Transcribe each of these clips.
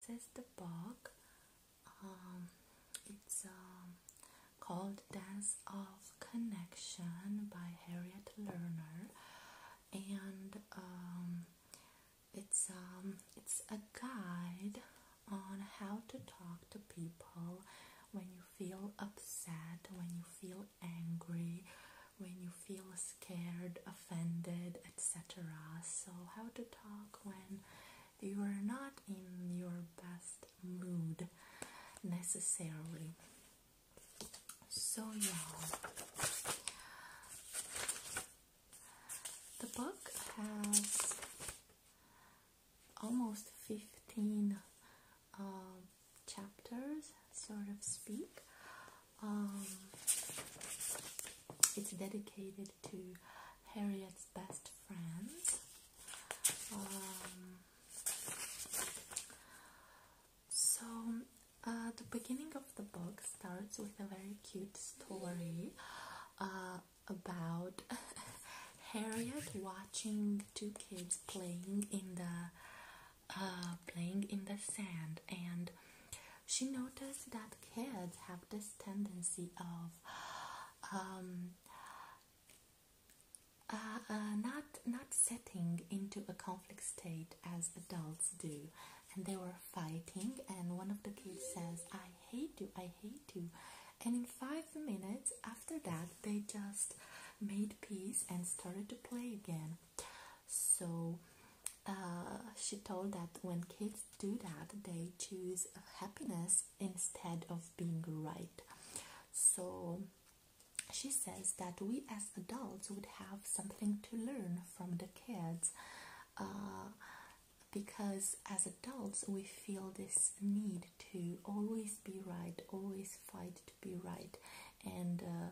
This is the book. Um, it's um, called Dance of Connection by Harriet Lerner, and um, it's it's a guide on how to talk to people when you feel upset, when you feel angry, when you feel scared offended, etc. So, how to talk when you are not in your best mood necessarily. So, yeah, the book has almost 15 uh, chapters, sort of speak. Um, it's dedicated to Harriet's best friends. Um, so, uh, the beginning of the book starts with a very cute story uh, about Harriet watching two kids playing in the uh, playing in the sand, and she noticed that kids have this tendency of um, uh, uh, not not setting into a conflict state as adults do, and they were fighting. And one of the kids says, "I hate you! I hate you!" And in five minutes after that, they just made peace and started to play again. So uh, she told that when kids do that they choose happiness instead of being right so she says that we as adults would have something to learn from the kids uh, because as adults we feel this need to always be right always fight to be right and uh,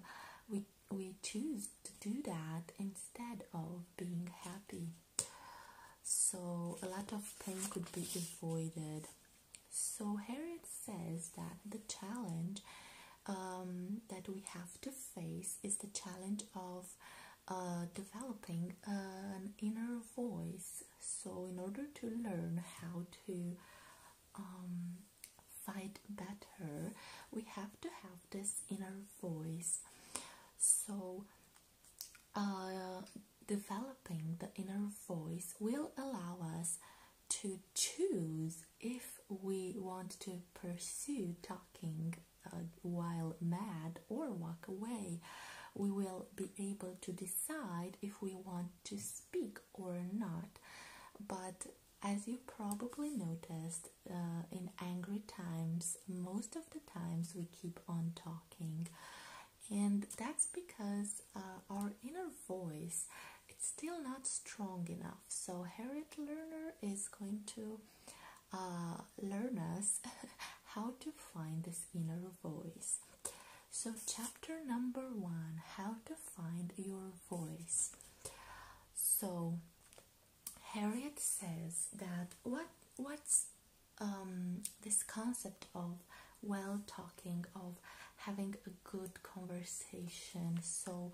we we choose to do that instead of being happy so a lot of pain could be avoided. So Harriet says that the challenge um, that we have to face is the challenge of uh, developing an inner voice. So in order to learn how to um, fight better, we have to have this inner voice. So uh, developing the inner voice will allow us to choose if we want to pursue talking uh, while mad or walk away. We will be able to decide if we want to speak or not. But as you probably noticed, uh, in angry times, most of the times we keep on talking, and that's because uh, our inner voice is still not strong enough. So Harriet Learner is going to uh, learn us how to find this inner voice. So chapter number one: How to find your voice. So Harriet says that what what's um, this concept of well talking of having a good conversation so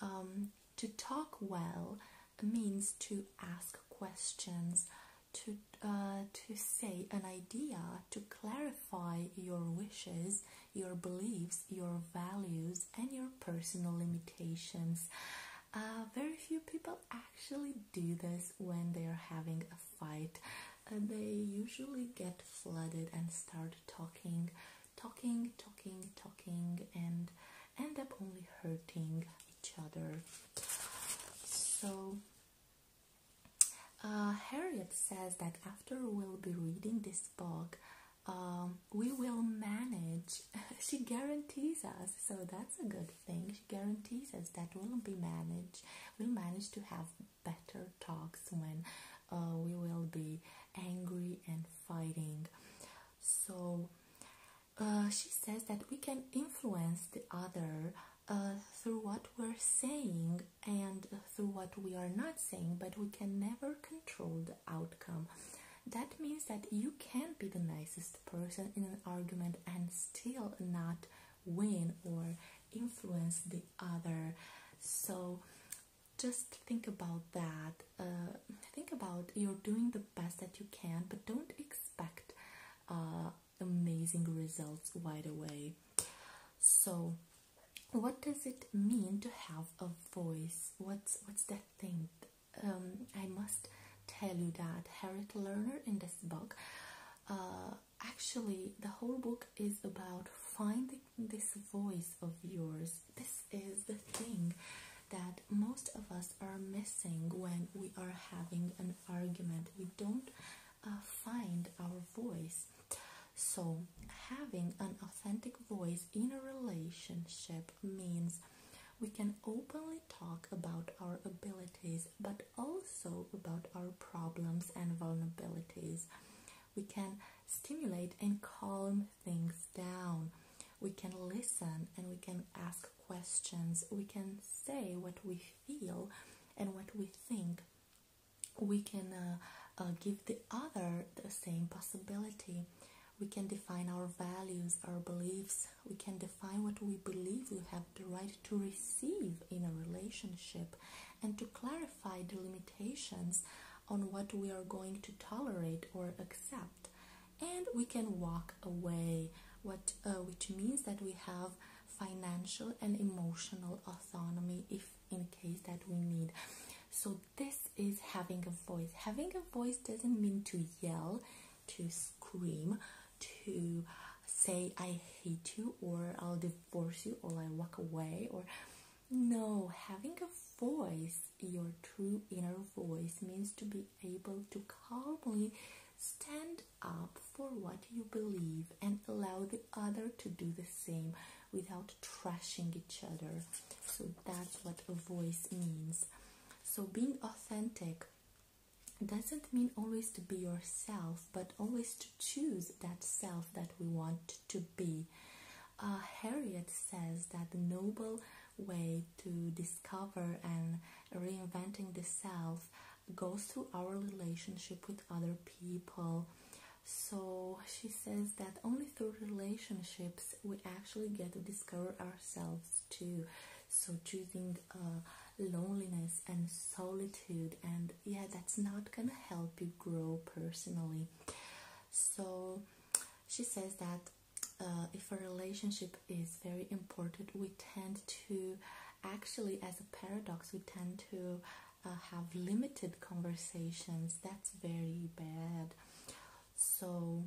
um, to talk well means to ask questions to uh, to say an idea to clarify your wishes your beliefs your values and your personal limitations uh, very few people actually do this when they are having a fight. they usually get flooded and start talking, talking, talking, talking, and end up only hurting each other. So, uh, Harriet says that after we'll be reading this book. Um, we will manage. she guarantees us, so that's a good thing guarantees as that will be managed we'll manage to have better talks when uh, we will be angry and fighting so uh, she says that we can influence the other uh, through what we're saying and through what we are not saying, but we can never control the outcome. That means that you can not be the nicest person in an argument and still not win or influence the other. So just think about that. Uh, think about you're doing the best that you can, but don't expect uh, amazing results right away. So, what does it mean to have a voice? What's what's that thing? Um, I must tell you that Harriet Lerner in this book, uh, actually, the whole book is about finding this voice of yours. This is the thing that most of us are missing when we are having an argument. We don't uh, find our voice. So, having an authentic voice in a relationship means we can openly talk about our abilities, but also about our problems and vulnerabilities. We can stimulate and calm things down. We can listen and we can ask questions. We can say what we feel and what we think. We can uh, uh, give the other the same possibility. We can define our values, our beliefs, we can define what we believe we have the right to receive in a relationship and to clarify the limitations on what we are going to tolerate or accept and we can walk away what uh, which means that we have financial and emotional autonomy if in case that we need so this is having a voice having a voice doesn't mean to yell to scream to say I hate you or I'll divorce you or I walk away or no having a voice your true inner voice means to be able to calmly stand up for what you believe and allow the other to do the same without trashing each other so that's what a voice means so being authentic doesn't mean always to be yourself, but always to choose that self that we want to be. Uh, Harriet says that the noble way to discover and reinventing the self goes through our relationship with other people. So she says that only through relationships we actually get to discover ourselves too. So choosing uh, loneliness and solitude and yeah that's not gonna help you grow personally so she says that uh, if a relationship is very important we tend to actually as a paradox we tend to uh, have limited conversations that's very bad so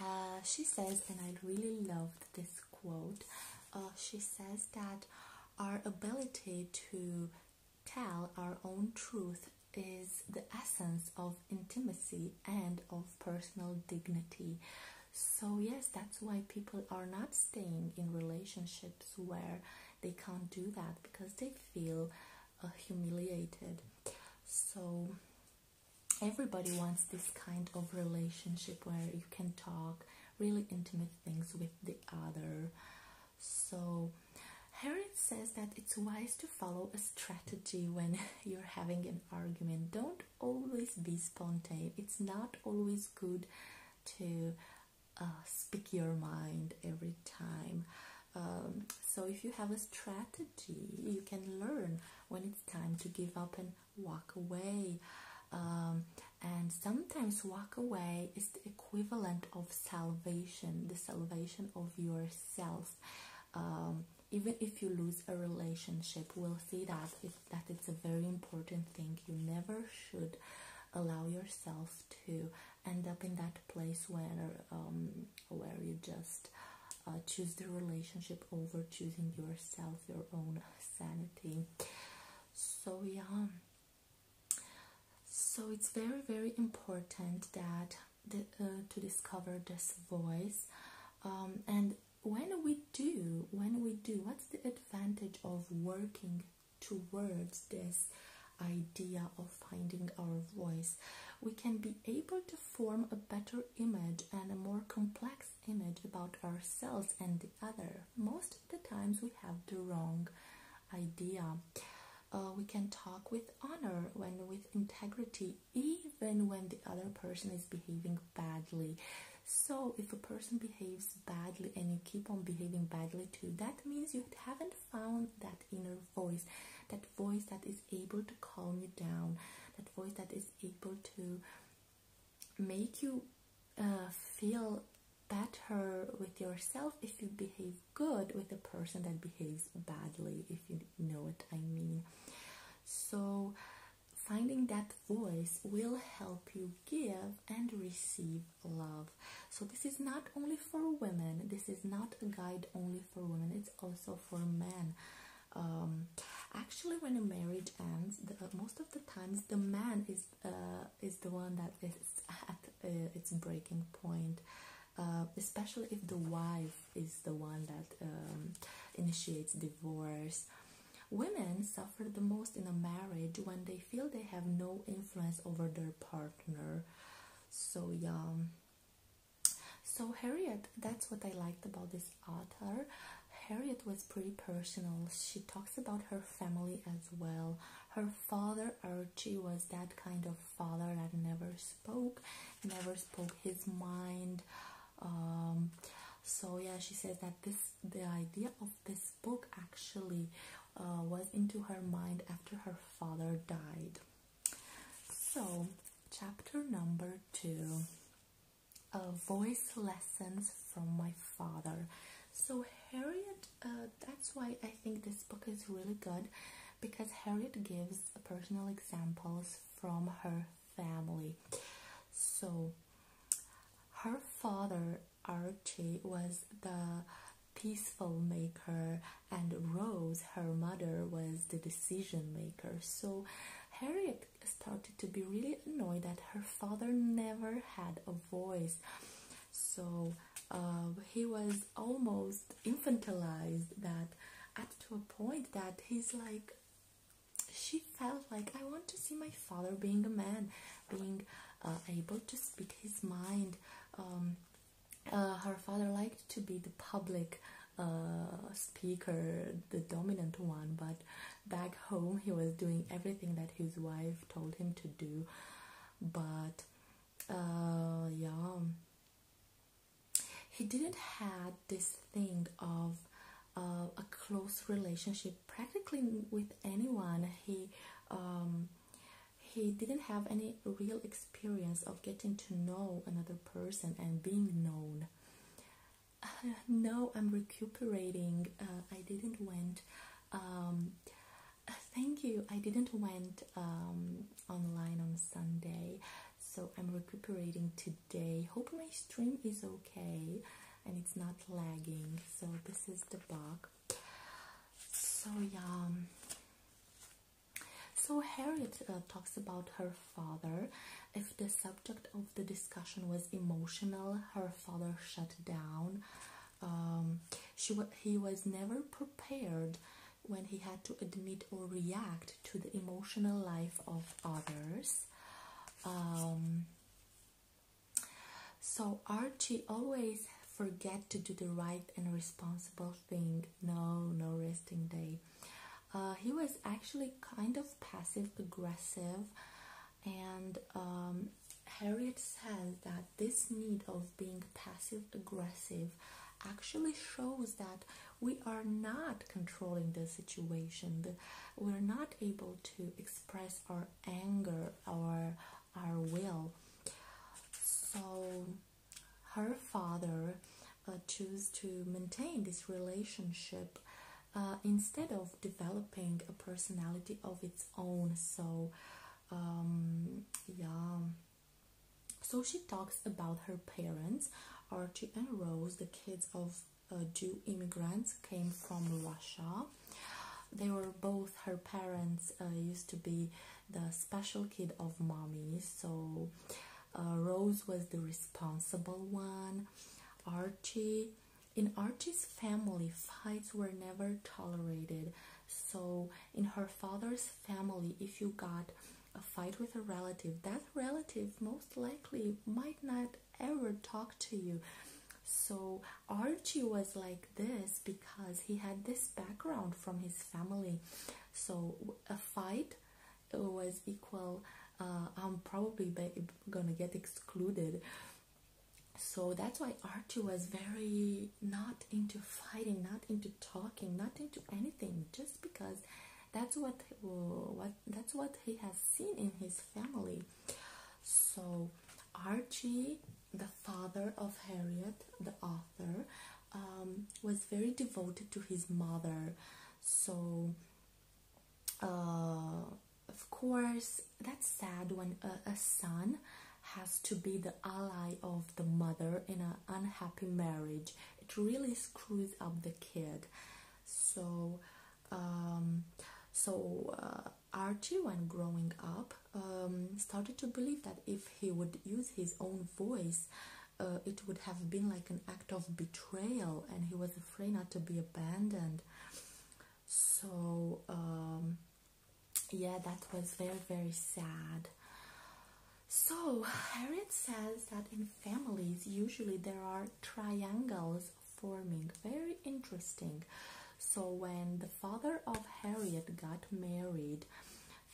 uh, she says, and I really loved this quote, uh, she says that our ability to tell our own truth is the essence of intimacy and of personal dignity. So, yes, that's why people are not staying in relationships where they can't do that because they feel uh, humiliated. So, everybody wants this kind of relationship where you can talk really intimate things with the other. So, here says that it's wise to follow a strategy when you're having an argument. Don't always be spontaneous. It's not always good to uh, speak your mind every time. Um, so, if you have a strategy, you can learn when it's time to give up and walk away. Um, and sometimes walk away is the equivalent of salvation, the salvation of yourself. Um, even if you lose a relationship, we'll see that that it's a very important thing. You never should allow yourself to end up in that place where um, where you just uh, choose the relationship over choosing yourself, your own sanity so yeah so it's very very important that uh, to discover this voice um, and when we do when we do what's the advantage of working towards this idea of finding our voice we can be able to form a better image and a more complex image about ourselves and the other. Most of the times we have the wrong idea. Uh, we can talk with honor, when with integrity, even when the other person is behaving badly. So, if a person behaves badly and you keep on behaving badly too, that means you haven't found that inner voice, that voice that is able to calm you down, that voice that is able to make you uh, feel better with yourself if you behave good with a person that behaves badly, if you know what I mean. So, finding that voice will help you give and receive love. So, this is not only for women, this is not a guide only for women, it's also for men. Um, actually, when a marriage ends, the, most the times the man is uh, is the one that is at uh, its breaking point uh, especially if the wife is the one that um, initiates divorce women suffer the most in a marriage when they feel they have no influence over their partner so yeah so harriet that's what i liked about this author. Harriet was pretty personal. She talks about her family as well. Her father, Archie, was that kind of father that never spoke, never spoke his mind. Um, so yeah, she says that this the idea of this book actually uh, was into her mind after her father died. So, chapter number two uh, voice lessons from my father. So, Harriet, uh, that's why I think this book is really good because Harriet gives personal examples from her family. So, her father, Archie, was the peaceful maker, and Rose, her mother, was the decision maker. So, Harriet started to be really annoyed that her father never had a voice. So uh, he was almost infantilized that up to a point that he's like she felt like I want to see my father being a man, being uh, able to speak his mind. Um, uh, her father liked to be the public speaker, the dominant one, but back home he was doing everything that his wife told him to do but uh yeah he didn't have this thing of uh, a close relationship practically with anyone he um he didn't have any real experience of getting to know another person and being known uh, no i'm recuperating uh, i didn't went um, uh, thank you i didn't went um, online on sunday so i'm recuperating today hope my stream is okay and it's not lagging so this is the bug so yeah um, so harriet uh, talks about her father if the subject of the discussion was emotional, her father shut down. Um, she he was never prepared when he had to admit or react to the emotional life of others. Um, so Archie always forget to do the right and responsible thing. No, no resting day. Uh, he was actually kind of passive aggressive and um, Harriet says that this need of being passive aggressive actually shows that we are not controlling the situation. The, we're not able to express our anger, our our will. So her father uh, chose to maintain this relationship uh, instead of developing a personality of its own so um, yeah so she talks about her parents archie and rose the kids of jew uh, immigrants came from russia they were both her parents uh, used to be the special kid of mommy so rose was the responsible one archie in Archie's family, fights were never tolerated. So, in her father's family, if you got a fight with a relative, that relative most likely might not ever talk to you. So, Archie was like this because he had this background from his family. So, a fight was equal, uh, I'm probably gonna get excluded so that's why Archie was very not into fighting, not into talking, not into anything, just because that's what uh, what that's what he has seen in his family. So Archie, the father of Harriet, the author, um, was very devoted to his mother. So. Uh, of course, that's sad when a, son has to be the ally of the mother in an unhappy marriage. It really screws up the kid. So, um, so uh, Archie, when growing up, um, started to believe that if he would use his own voice, uh, it would have been like an act of betrayal, and he was afraid not to be abandoned so um, yeah that was very very sad so harriet says that in families usually there are triangles forming very interesting so when the father of harriet got married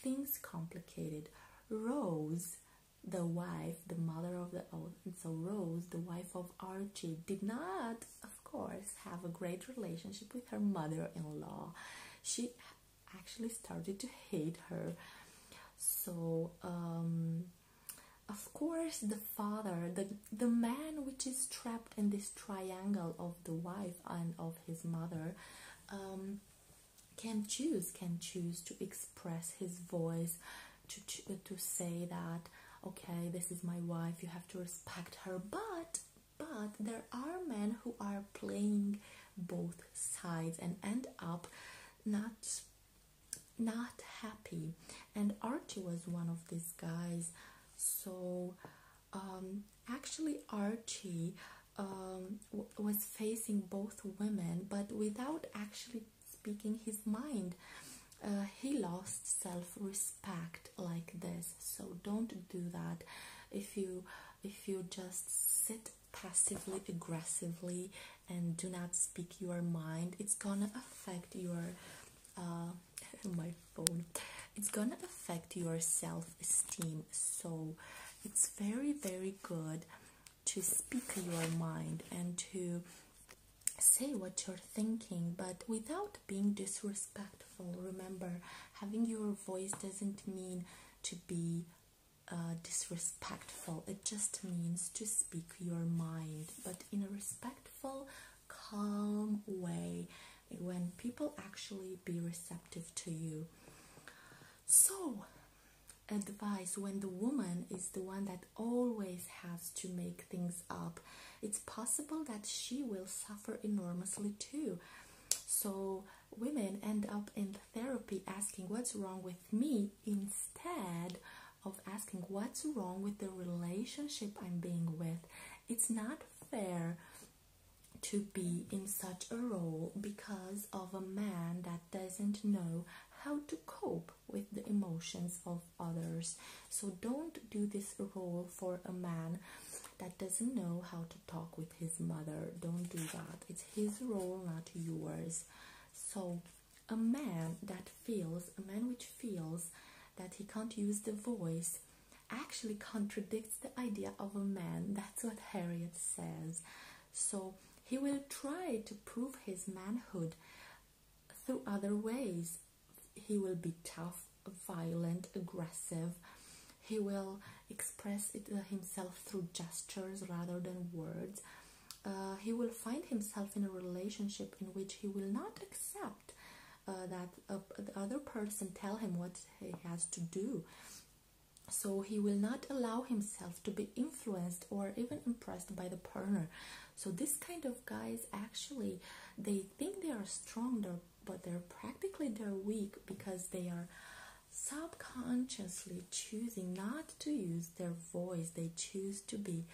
things complicated rose the wife the mother of the oh, so rose the wife of archie did not of course, have a great relationship with her mother in law. She actually started to hate her. So, um, of course, the father, the, the man which is trapped in this triangle of the wife and of his mother, um, can choose, can choose to express his voice, to, to say that, okay, this is my wife, you have to respect her but but there are men who are playing both sides and end up not not happy and Archie was one of these guys so um actually Archie um, was facing both women but without actually speaking his mind uh, he lost self-respect like this so don't do that if you if you just sit passively aggressively and do not speak your mind it's gonna affect your uh, my phone it's gonna affect your self-esteem so it's very very good to speak your mind and to say what you're thinking but without being disrespectful remember having your voice doesn't mean to be uh, disrespectful it just means to speak your mind but in a respectful calm way when people actually be receptive to you so advice when the woman is the one that always has to make things up it's possible that she will suffer enormously too. So, women end up in therapy asking what's wrong with me instead of asking what's wrong with the relationship I'm being with. It's not fair to be in such a role because of a man that doesn't know how to cope with the emotions of others. So don't do this role for a man that doesn't know how to talk with his mother. Don't do that. It's his role, not yours. So a man that feels, a man which feels that he can't use the voice actually contradicts the idea of a man. That's what Harriet says. So he will try to prove his manhood through other ways he will be tough, violent, aggressive. He will express it, uh, himself through gestures rather than words. Uh, he will find himself in a relationship in which he will not accept uh, that the other person tell him what he has to do. So he will not allow himself to be influenced or even impressed by the partner. So this kind of guys actually they think they are stronger but they're practically they're weak because they are subconsciously choosing not to use their voice they choose to be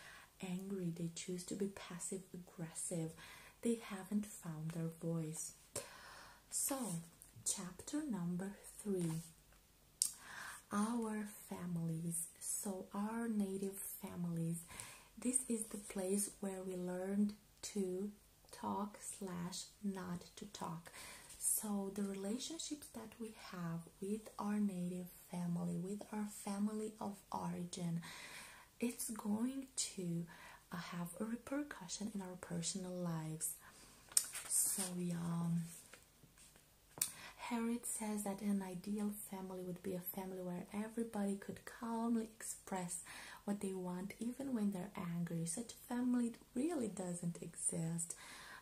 angry they choose to be passive aggressive they haven't found their voice so chapter number 3 our families so our native families this is the place where we learned to talk slash not to talk so the relationships that we have with our native family with our family of origin it's going to uh, have a repercussion in our personal lives so yeah um, Harriet says that an ideal family would be a family where everybody could calmly express what they want even when they're angry. Such family really doesn't exist,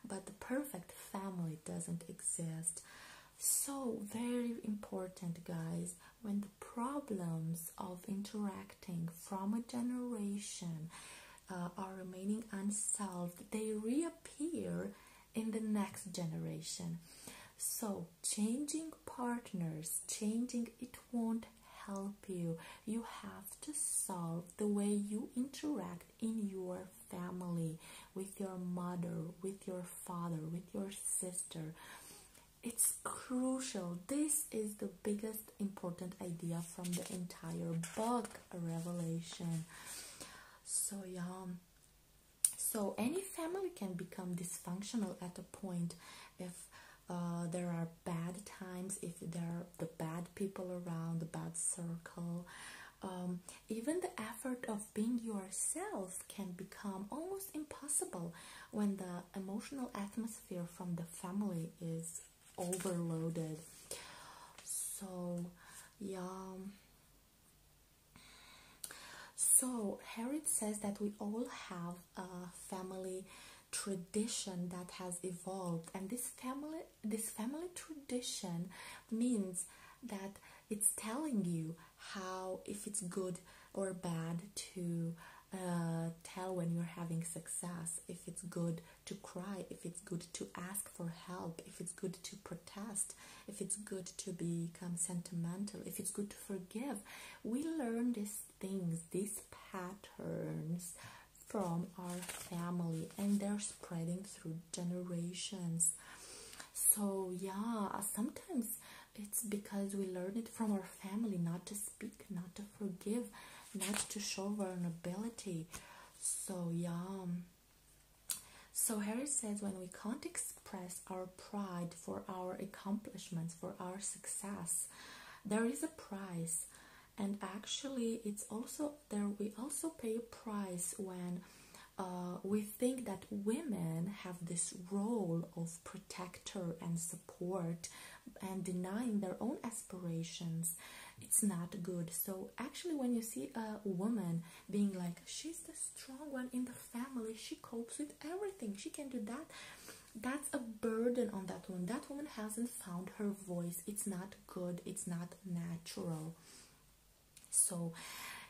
but the perfect family doesn't exist. So, very important, guys, when the problems of interacting from a generation uh, are remaining unsolved, they reappear in the next generation. So, changing partners, changing it won't help you. You have to solve the way you interact in your family with your mother, with your father, with your sister. It's crucial. This is the biggest important idea from the entire book, Revelation. So, yeah. So, any family can become dysfunctional at a point if uh, there are bad times, if there are the bad people around, the bad circle, um, even the effort of being yourself can become almost impossible when the emotional atmosphere from the family is overloaded. So, yeah. So, Harriet says that we all have a family tradition that has evolved, and this family, this family tradition means that it's telling you how, if it's good or bad, to uh, tell when you're having success, if it's good to cry, if it's good to ask for help, if it's good to protest, if it's good to become sentimental, if it's good to forgive. We learn this things, these patterns from our family, and they're spreading through generations. So, yeah, sometimes it's because we learn it from our family not to speak, not to forgive, not to show vulnerability. So, yeah. So, Harry says when we can't express our pride, for our accomplishments, for our success. There is a price, and actually, it's also there. We also pay a price when uh, we think that women have this role of protector and support and denying their own aspirations. It's not good. So, actually, when you see a woman being like, she's the strong one in the family, she copes with everything, she can do that that's a burden on that woman. That woman hasn't found her voice. It's not good. It's not natural. So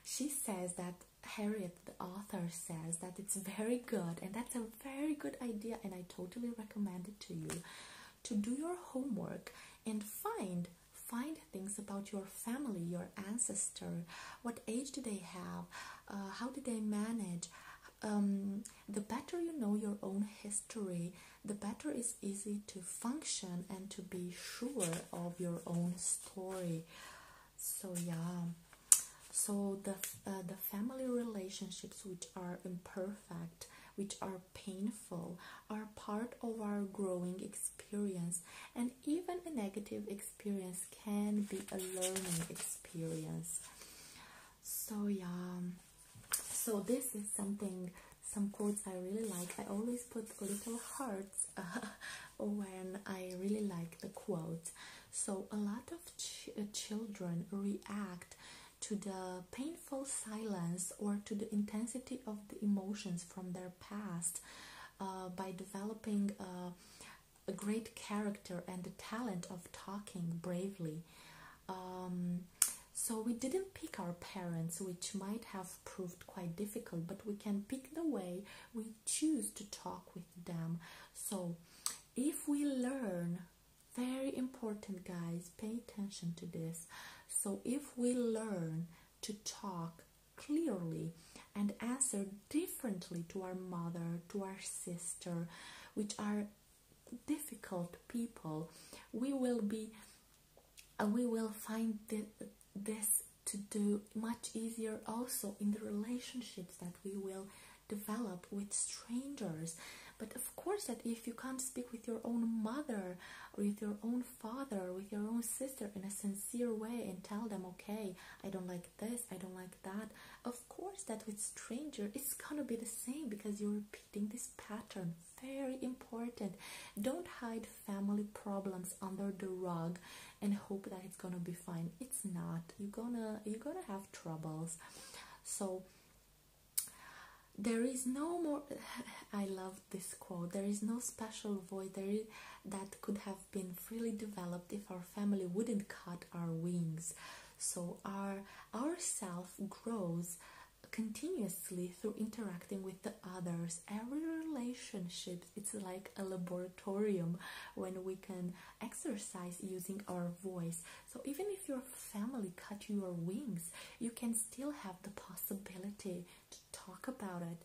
she says that Harriet, the author, says that it's very good and that's a very good idea, and I totally recommend it to you to do your homework and find find things about your family your ancestor what age do they have uh, how did they manage um, the better you know your own history, the better it's easy to function and to be sure of your own story. So yeah, so the uh, the family relationships which are imperfect, which are painful, are part of our growing experience, and even a negative experience experience can be a learning experience. So yeah, so this is something, some quotes I really like. I always put little hearts when I really like the quote. So a lot of uh, children react to the painful silence or to the intensity of the emotions from their past uh, by developing. Uh, a great character and the talent of talking bravely. Um, so we didn't pick our parents, which might have proved quite difficult, but we can pick the way we choose to talk with them. So if we learn, very important guys, pay attention to this. So if we learn to talk clearly and answer differently to our mother, to our sister, which are difficult people we will be uh, we will find this to do much easier also in the relationships that we will develop with strangers but of course that if you can't speak with your own mother or with your own father or with your own sister in a sincere way and tell them okay i don't like this i don't like that of course that with stranger it's gonna be the same because you're repeating this pattern very important don't hide family problems under the rug and hope that it's gonna be fine it's not you're gonna you're gonna have troubles so there is no more i love this quote there is no special void that could have been freely developed if our family wouldn't cut our wings so our our self grows continuously through interacting with the others. Every relationship it's like a laboratorium when we can exercise using our voice. So even if your family cut your wings, you can still have the possibility to talk about it.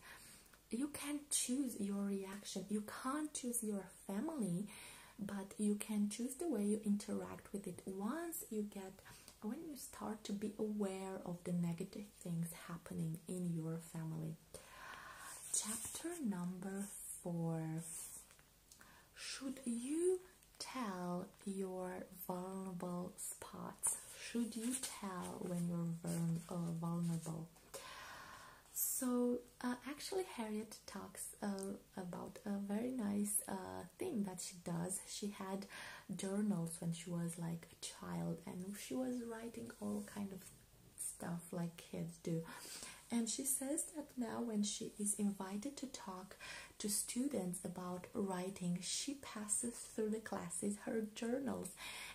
You can choose your reaction. You can't choose your family but you can choose the way you interact with it once you get when you start to be aware of the negative things happening in your family chapter number 4 should you tell your vulnerable spots should you tell when you're uh, vulnerable so, uh, actually, Harriet talks uh, about a very nice uh, thing that she does. She had journals when she was like a child, and she was writing all kind of stuff like kids do. And she says that now, when she is invited to talk to students about writing, she passes through the classes her journals,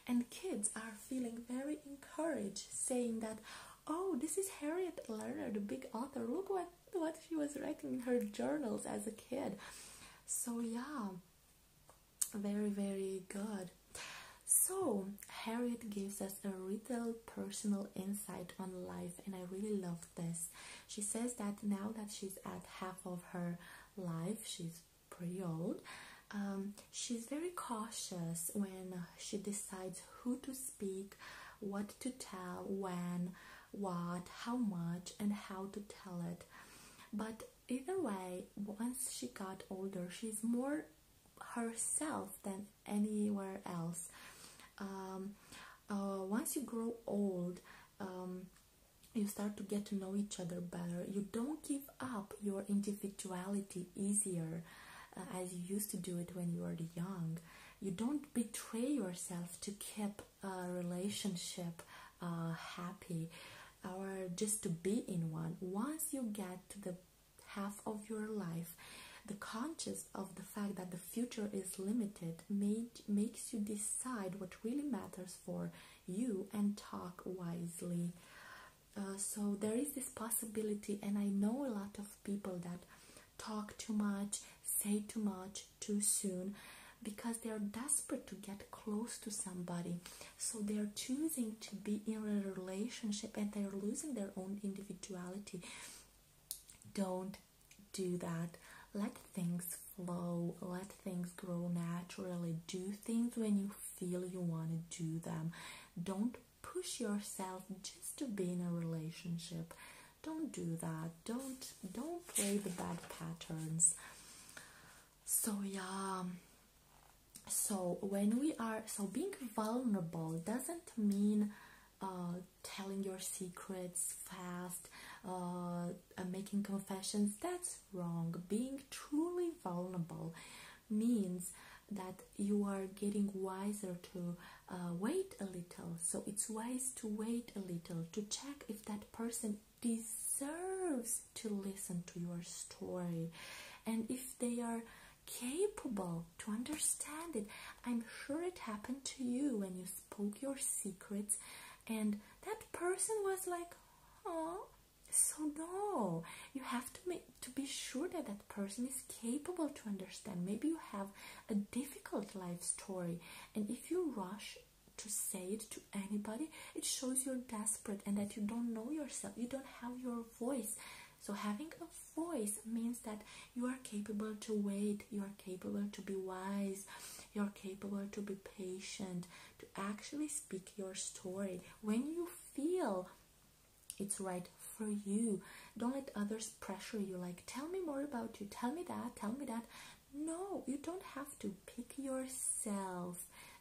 and kids are feeling very encouraged, saying that, oh, this is Harriet Lerner, the big author. Look what what she was writing in her journals as a kid. So yeah, very very good. So Harriet gives us a real personal insight on life, and I really love this. She says that now that she's at half of her life, she's pretty old. Um, she's very cautious when she decides who to speak, what to tell, when, what, how much, and how to tell it. But either way, once she got older, she's more herself than anywhere else. Um, uh, once you grow old, um, you start to get to know each other better. You don't give up your individuality easier uh, as you used to do it when you were young you don't betray yourself to keep a relationship uh, happy or just to be in one. Once you get to the half of your life, the conscious of the fact that the future is limited made, makes you decide what really matters for you and talk wisely. Uh, so there is this possibility, and I know a lot of people that talk too much, say too much too soon because they are desperate to get close to somebody. So they are choosing to be in a relationship and they are losing their own individuality. Don't do that. Let things flow, let things grow naturally. Do things when you feel you want to do them. Don't push yourself just to be in a relationship don't do that don't don't play the bad patterns so yeah so when we are so being vulnerable doesn't mean uh, telling your secrets fast uh, making confessions that's wrong being truly vulnerable means that you are getting wiser to uh, wait a little. So it's wise to wait a little to check if that person deserves to listen to your story and if they are capable to understand it. I'm sure it happened to you when you spoke your secrets, and that person was like, oh. So no, you have to make to be sure that that person is capable to understand. Maybe you have a difficult life story, and if you rush to say it to anybody, it shows you're desperate and that you don't know yourself, you don't have your voice. So, having a voice means that you are capable to wait, you are capable to be wise, you're capable to be patient, to actually speak your story when you feel it's right for you. Don't let others pressure you, like, tell me more about you, tell me that, tell me that. No, you don't have to pick yourself.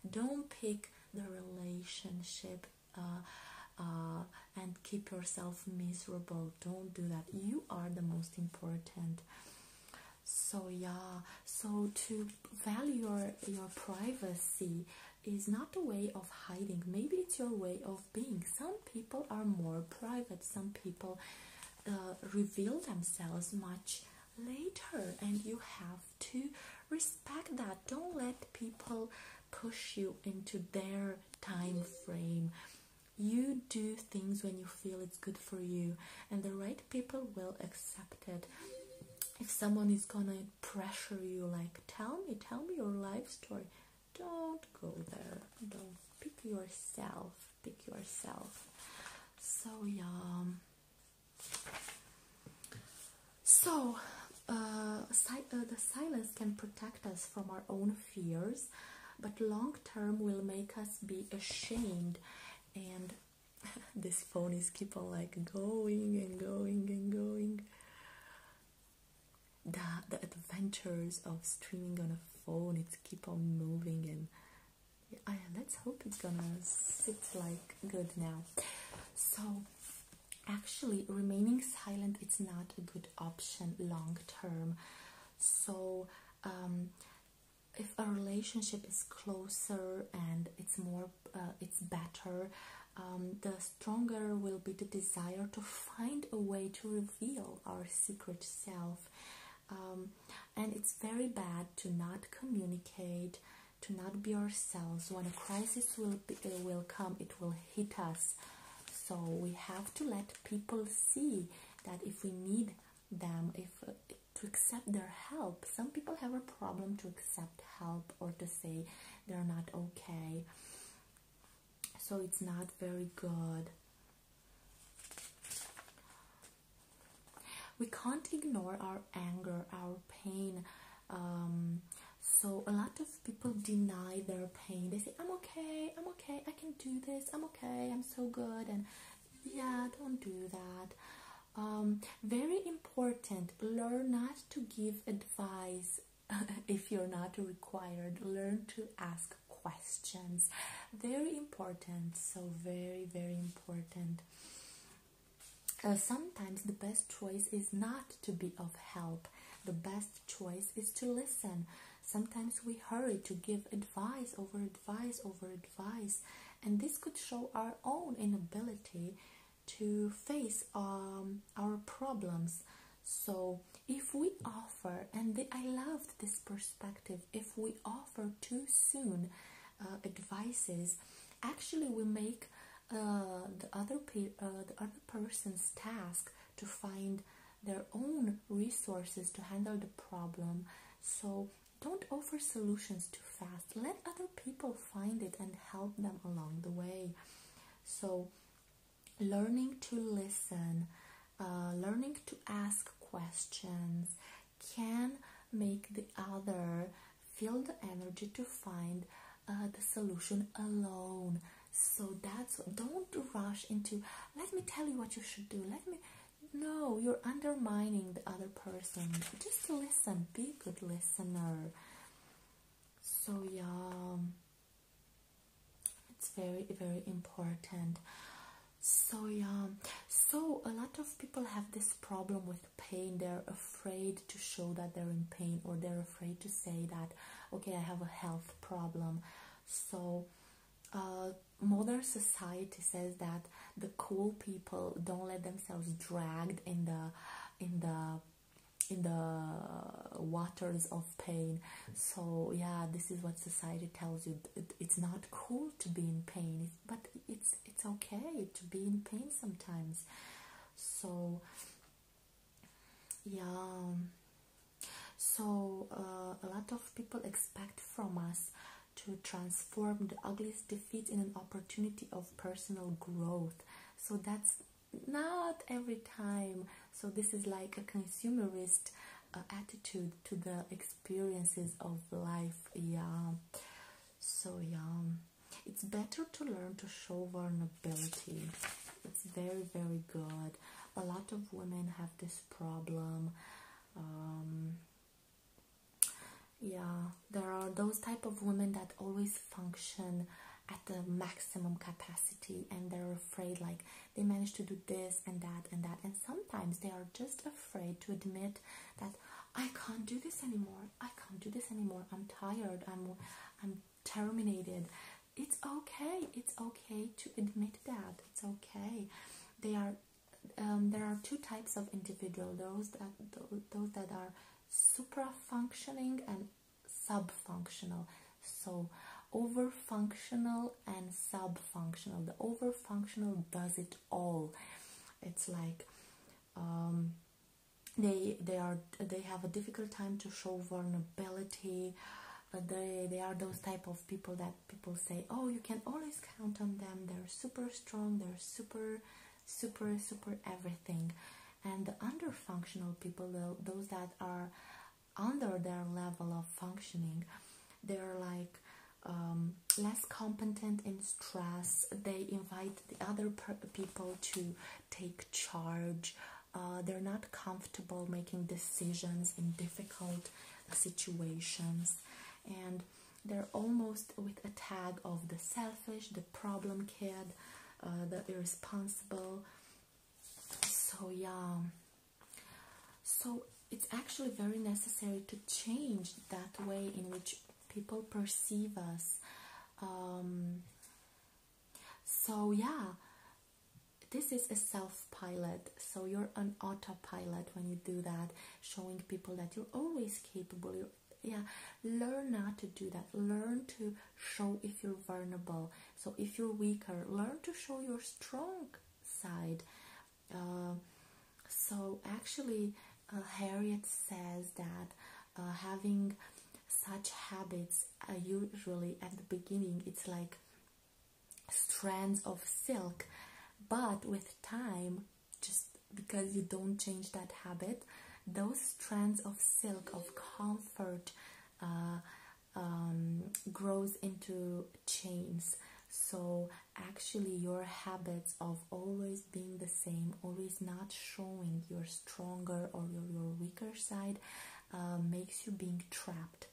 Don't pick the relationship uh, uh, and keep yourself miserable. Don't do that. You are the most important. So yeah, so to value your your privacy is not a way of hiding. Maybe it's your way of being. Some people are more private, some people uh, reveal themselves much later, and you have to respect that. Don't let people push you into their time frame. You do things when you feel it's good for you, and the right people will accept it. If someone is gonna pressure you, like, tell me, tell me your life story, don't go there. Don't pick yourself. Pick yourself. So yeah. So uh, uh, the silence can protect us from our own fears, but long term will make us be ashamed. And this phone is keep on like going and going and going the the adventures of streaming on a phone It keep on moving and let's hope it's gonna sit like good now so actually remaining silent it's not a good option long term so um, if a relationship is closer and it's more uh, it's better um, the stronger will be the desire to find a way to reveal our secret self. Um, and it's very bad to not communicate, to not be ourselves. When a crisis will, uh, will come, it will hit us. So we have to let people see that if we need them, if uh, to accept their help. Some people have a problem to accept help or to say they're not okay. So it's not very good. We can't ignore our anger, our pain. Um, so, a lot of people deny their pain. They say, I'm okay, I'm okay, I can do this, I'm okay, I'm so good. And yeah, don't do that. Um, very important, learn not to give advice if you're not required. Learn to ask questions very important so very very important uh, sometimes the best choice is not to be of help the best choice is to listen sometimes we hurry to give advice over advice over advice and this could show our own inability to face um, our problems so if we offer, and I loved this perspective, if we offer too soon uh, advices, actually we make uh, the other uh, the other person's task to find their own resources to handle the problem. So don't offer solutions too fast. Let other people find it and help them along the way. So learning to listen, uh, learning to ask questions can make the other feel the energy to find uh, the solution alone. So that's don't rush into let me tell you what you should do. Let me no, you're undermining the other person. Just listen, be a good listener. So yeah. It's very very important. So yeah, so a lot of people have this problem with pain. They're afraid to show that they're in pain, or they're afraid to say that, okay, I have a health problem. So uh, modern society says that the cool people don't let themselves dragged in the in the in the waters of pain so yeah this is what society tells you it's not cool to be in pain but it's it's okay to be in pain sometimes so yeah so uh, a lot of people expect from us to transform the ugliest defeat in an opportunity of personal growth so that's not every time so this is like a consumerist attitude to the experiences of life. Yeah, so yeah, it's better to learn to show vulnerability. It's very, very good. A lot of women have this problem. Um, yeah, there are those type of women that always function at the maximum capacity and they're afraid like they manage to do this and that and that and sometimes they are just afraid to admit that I can't do this anymore. I can't do this anymore. I'm tired. I'm I'm terminated. It's okay. It's okay to admit that. It's okay. They are um, there are two types of individual those that those that are supra functioning and sub functional so over functional and sub-functional. The over-functional does it all. It's like um, they they are they have a difficult time to show vulnerability. Uh, they they are those type of people that people say, oh, you can always count on them. They're super strong. They're super super super everything. And the under-functional people, those that are under their level of functioning, they're like um, less competent in stress. They invite the other people to take charge. Uh, they're not comfortable making decisions in difficult situations, and they're almost with a tag of the selfish, the problem kid, uh, the irresponsible. So yeah, so it's actually very necessary to change that way in which people perceive us. Um, so, yeah, this is a self pilot. So, you're an autopilot when you do that, showing people that you're always capable. yeah, learn not to do that. Learn to show if you're vulnerable. So, if you're weaker, learn to show your strong side. Uh, so actually, uh, Harriet says that uh, having such habits uh, usually at the beginning it's like strands of silk, but with time, just because you don't change that habit, those strands of silk of comfort um, grows into chains. So, actually, your habits of always being the same, always not showing your stronger or your, weaker side, uh, makes you being trapped.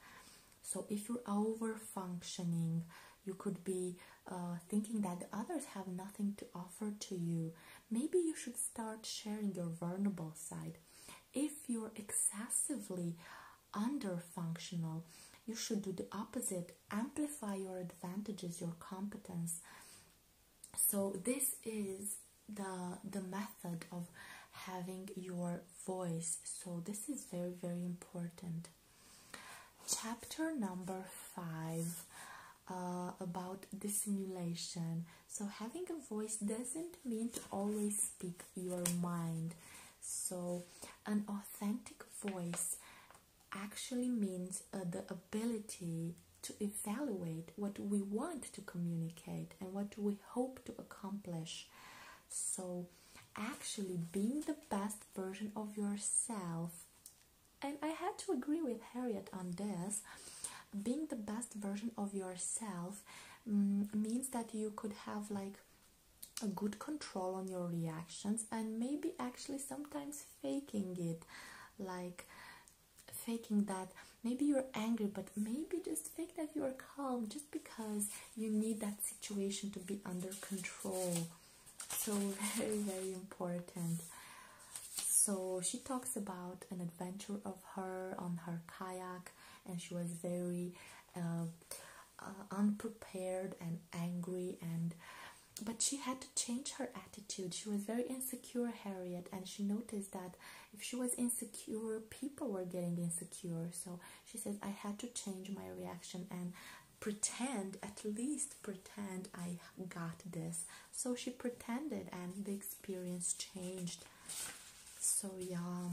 So, if you're over functioning, you could be uh, thinking that others have nothing to offer to you. Maybe you should start sharing your vulnerable side. If you're excessively under functional you should do the opposite amplify your advantages your competence so this is the the method of having your voice so this is very very important chapter number five uh, about dissimulation so having a voice doesn't mean to always speak your mind so, an authentic voice actually means uh, the ability to evaluate what we want to communicate and what we hope to accomplish. So, actually, being the best version of yourself, and I had to agree with Harriet on this being the best version of yourself mm, means that you could have like a good control on your reactions and maybe actually sometimes faking it like faking that maybe you're angry but maybe just fake that you're calm just because you need that situation to be under control so very very important so she talks about an adventure of her on her kayak and she was very uh, uh, unprepared and angry and but she had to change her attitude she was very insecure harriet and she noticed that if she was insecure people were getting insecure so she says i had to change my reaction and pretend at least pretend i got this so she pretended and the experience changed so yeah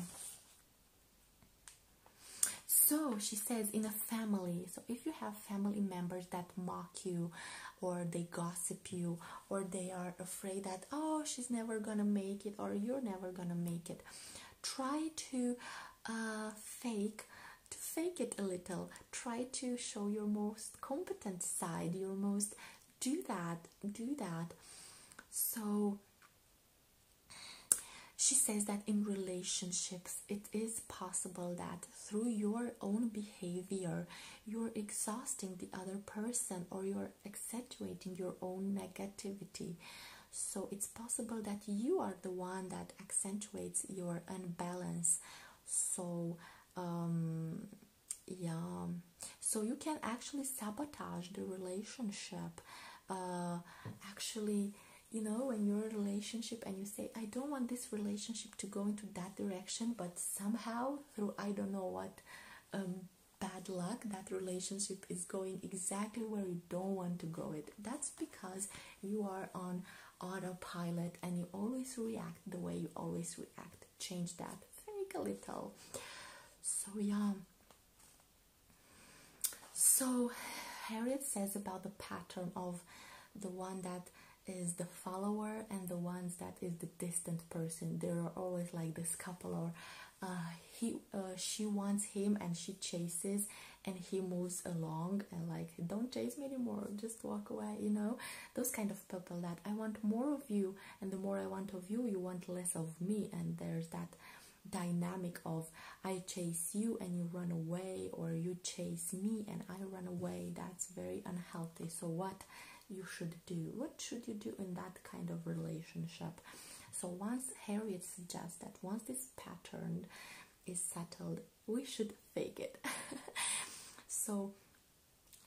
so she says, in a family, so if you have family members that mock you, or they gossip you, or they are afraid that, oh, she's never gonna make it, or you're never gonna make it, try to uh, fake. To fake it a little, try to show your most competent side, your most do that, do that. So she says that in relationships it is possible that through your own behavior you're exhausting the other person or you're accentuating your own negativity so it's possible that you are the one that accentuates your unbalance so um, yeah so you can actually sabotage the relationship uh, actually you know when your relationship and you say i don't want this relationship to go into that direction but somehow through i don't know what um, bad luck that relationship is going exactly where you don't want to go it that's because you are on autopilot and you always react the way you always react change that fake a little so yeah so, Harriet says about the pattern of the one that is the follower and the ones that is the distant person. There are always like this couple, or uh, he, uh, she wants him and she chases, and he moves along and like, don't chase me anymore, just walk away. You know, those kind of people that I want more of you, and the more I want of you, you want less of me, and there's that dynamic of I chase you and you run away, or you chase me and I run away. That's very unhealthy. So, what you should do? What should you do in that kind of relationship? So, once Harriet suggests that once this pattern is settled, we should fake it. so,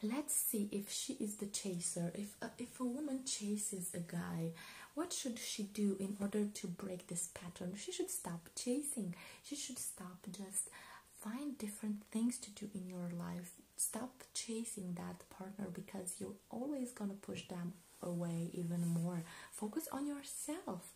let's see if she is the chaser. If, if a woman chases a guy, what should she do in order to break this pattern? She should stop chasing. She should stop just find different things to do in your life. Stop chasing that partner because you're always going to push them away even more. Focus on yourself.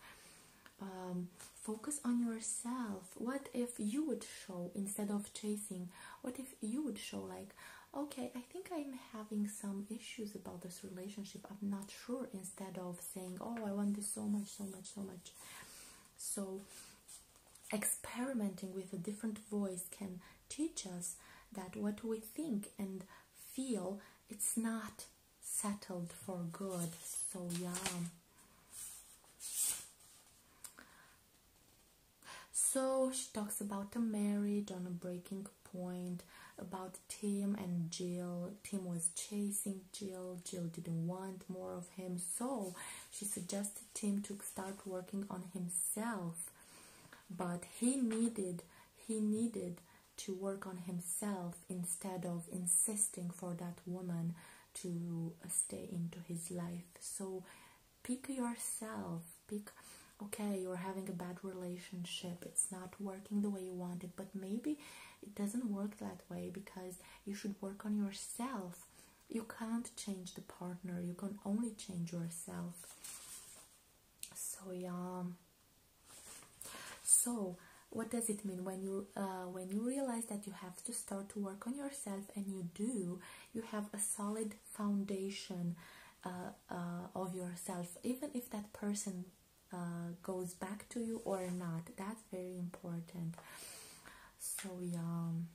Um, focus on yourself. What if you would show instead of chasing? What if you would show, like, okay, I think I'm having some issues about this relationship. I'm not sure instead of saying oh i want this so much so much so much so experimenting with a different voice can teach us that what we think and feel it's not settled for good so yeah so she talks about a marriage on a breaking point about Tim and Jill. Tim was chasing Jill. Jill didn't want more of him, so she suggested Tim to start working on himself. But he needed he needed to work on himself instead of insisting for that woman to stay into his life. So pick yourself. Pick okay, you're having a bad relationship. It's not working the way you want it, but maybe it doesn't work that way because you should work on yourself you can't change the partner you can only change yourself so yeah so what does it mean when you uh, when you realize that you have to start to work on yourself and you do you have a solid foundation uh, uh, of yourself even if that person uh, goes back to you or not. That's very important. So yeah. Um,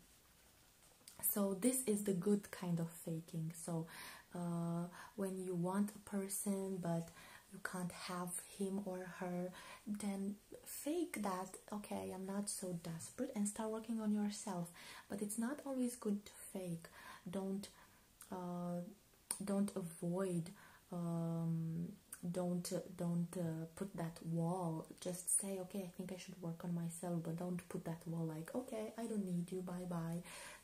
so this is the good kind of faking. So uh, when you want a person but you can't have him or her, then fake that. Okay, I'm not so desperate, and start working on yourself. But it's not always good to fake. Don't. Uh, don't avoid um, don't don't uh, put that wall just say okay i think i should work on myself but don't put that wall like okay i don't need you bye bye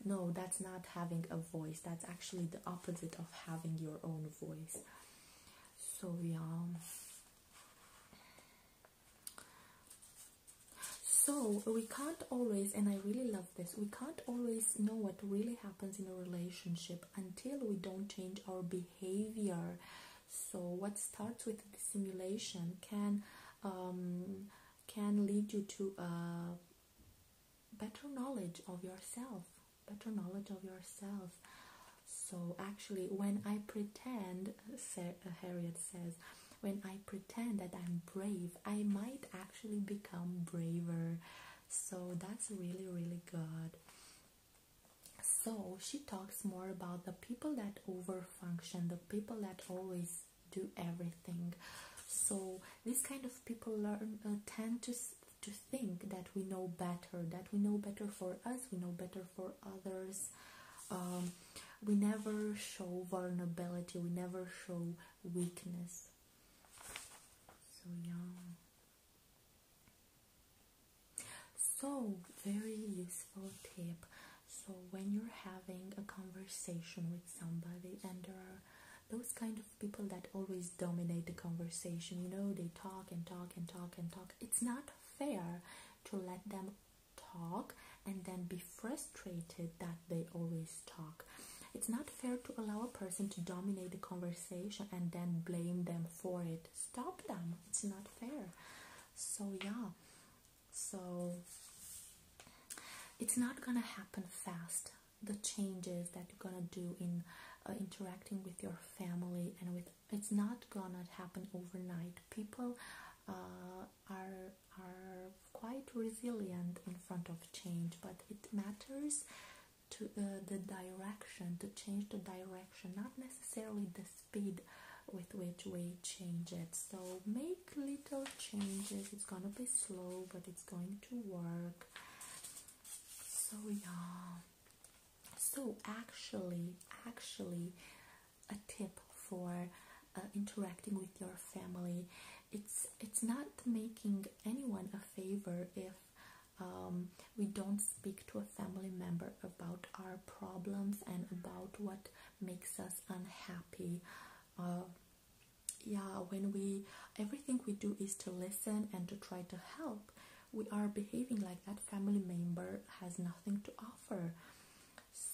no that's not having a voice that's actually the opposite of having your own voice so yeah so we can't always and i really love this we can't always know what really happens happens in a relationship until we don't change our behavior. So what starts with simulation can um, can lead you to a uh, better knowledge of yourself, better knowledge of yourself. So actually, when I pretend, Sarah, Harriet says, when I pretend that I'm brave, I might actually become braver so that's really really good so she talks more about the people that overfunction the people that always do everything so these kind of people learn uh, tend to to think that we know better that we know better for us we know better for others um, we never show vulnerability we never show weakness so yeah so, very useful tip. So, when you're having a conversation with somebody, and there are those kind of people that always dominate the conversation, you know, they talk and talk and talk and talk. It's not fair to let them talk and then be frustrated that they always talk. It's not fair to allow a person to dominate the conversation and then blame them for it. Stop them. It's not fair. So, yeah. So, it's not gonna happen fast. The changes that you're gonna do in uh, interacting with your family and with it's not gonna happen overnight. People uh, are are quite resilient in front of change, but it matters to uh, the direction, to change the direction, not necessarily the speed with which we change it. So make little changes. It's gonna be slow, but it's going to work. So yeah. So actually, actually, a tip for uh, interacting with your family, it's it's not making anyone a favor if um, we don't speak to a family member about our problems and about what makes us unhappy uh, yeah when we everything we do is to listen and to try to help we are behaving like that family member has nothing to offer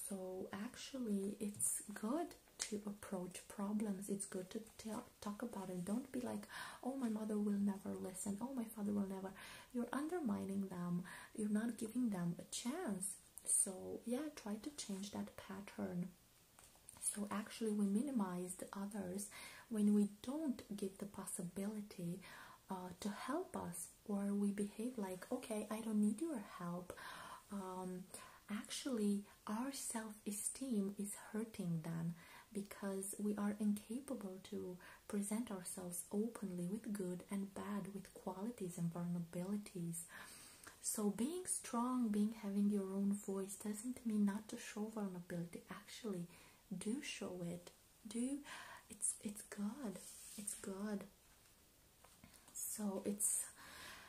so actually it's good to approach problems it's good to tell talk about it. Don't be like, oh, my mother will never listen, oh, my father will never. You're undermining them, you're not giving them a chance. So, yeah, try to change that pattern. So, actually, we minimize the others when we don't get the possibility uh, to help us, or we behave like, okay, I don't need your help. Um, actually, our self-esteem is hurting them because we are incapable to present ourselves openly with good and bad with qualities and vulnerabilities so being strong being having your own voice doesn't mean not to show vulnerability actually do show it do it's it's good it's good so it's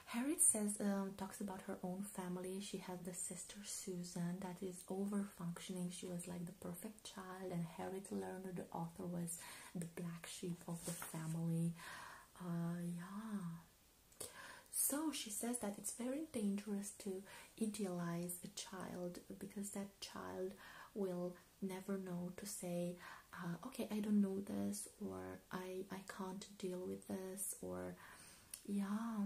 Harriet says um, talks about her own family she has the sister Susan that is this over functioning. She was like the perfect child, and Harriet Lerner, the author, was the black sheep of the family. Uh, yeah. So she says that it's very dangerous to idealize a child because that child will never know to say, uh, okay, I don't know this, or I I can't deal with this, or yeah.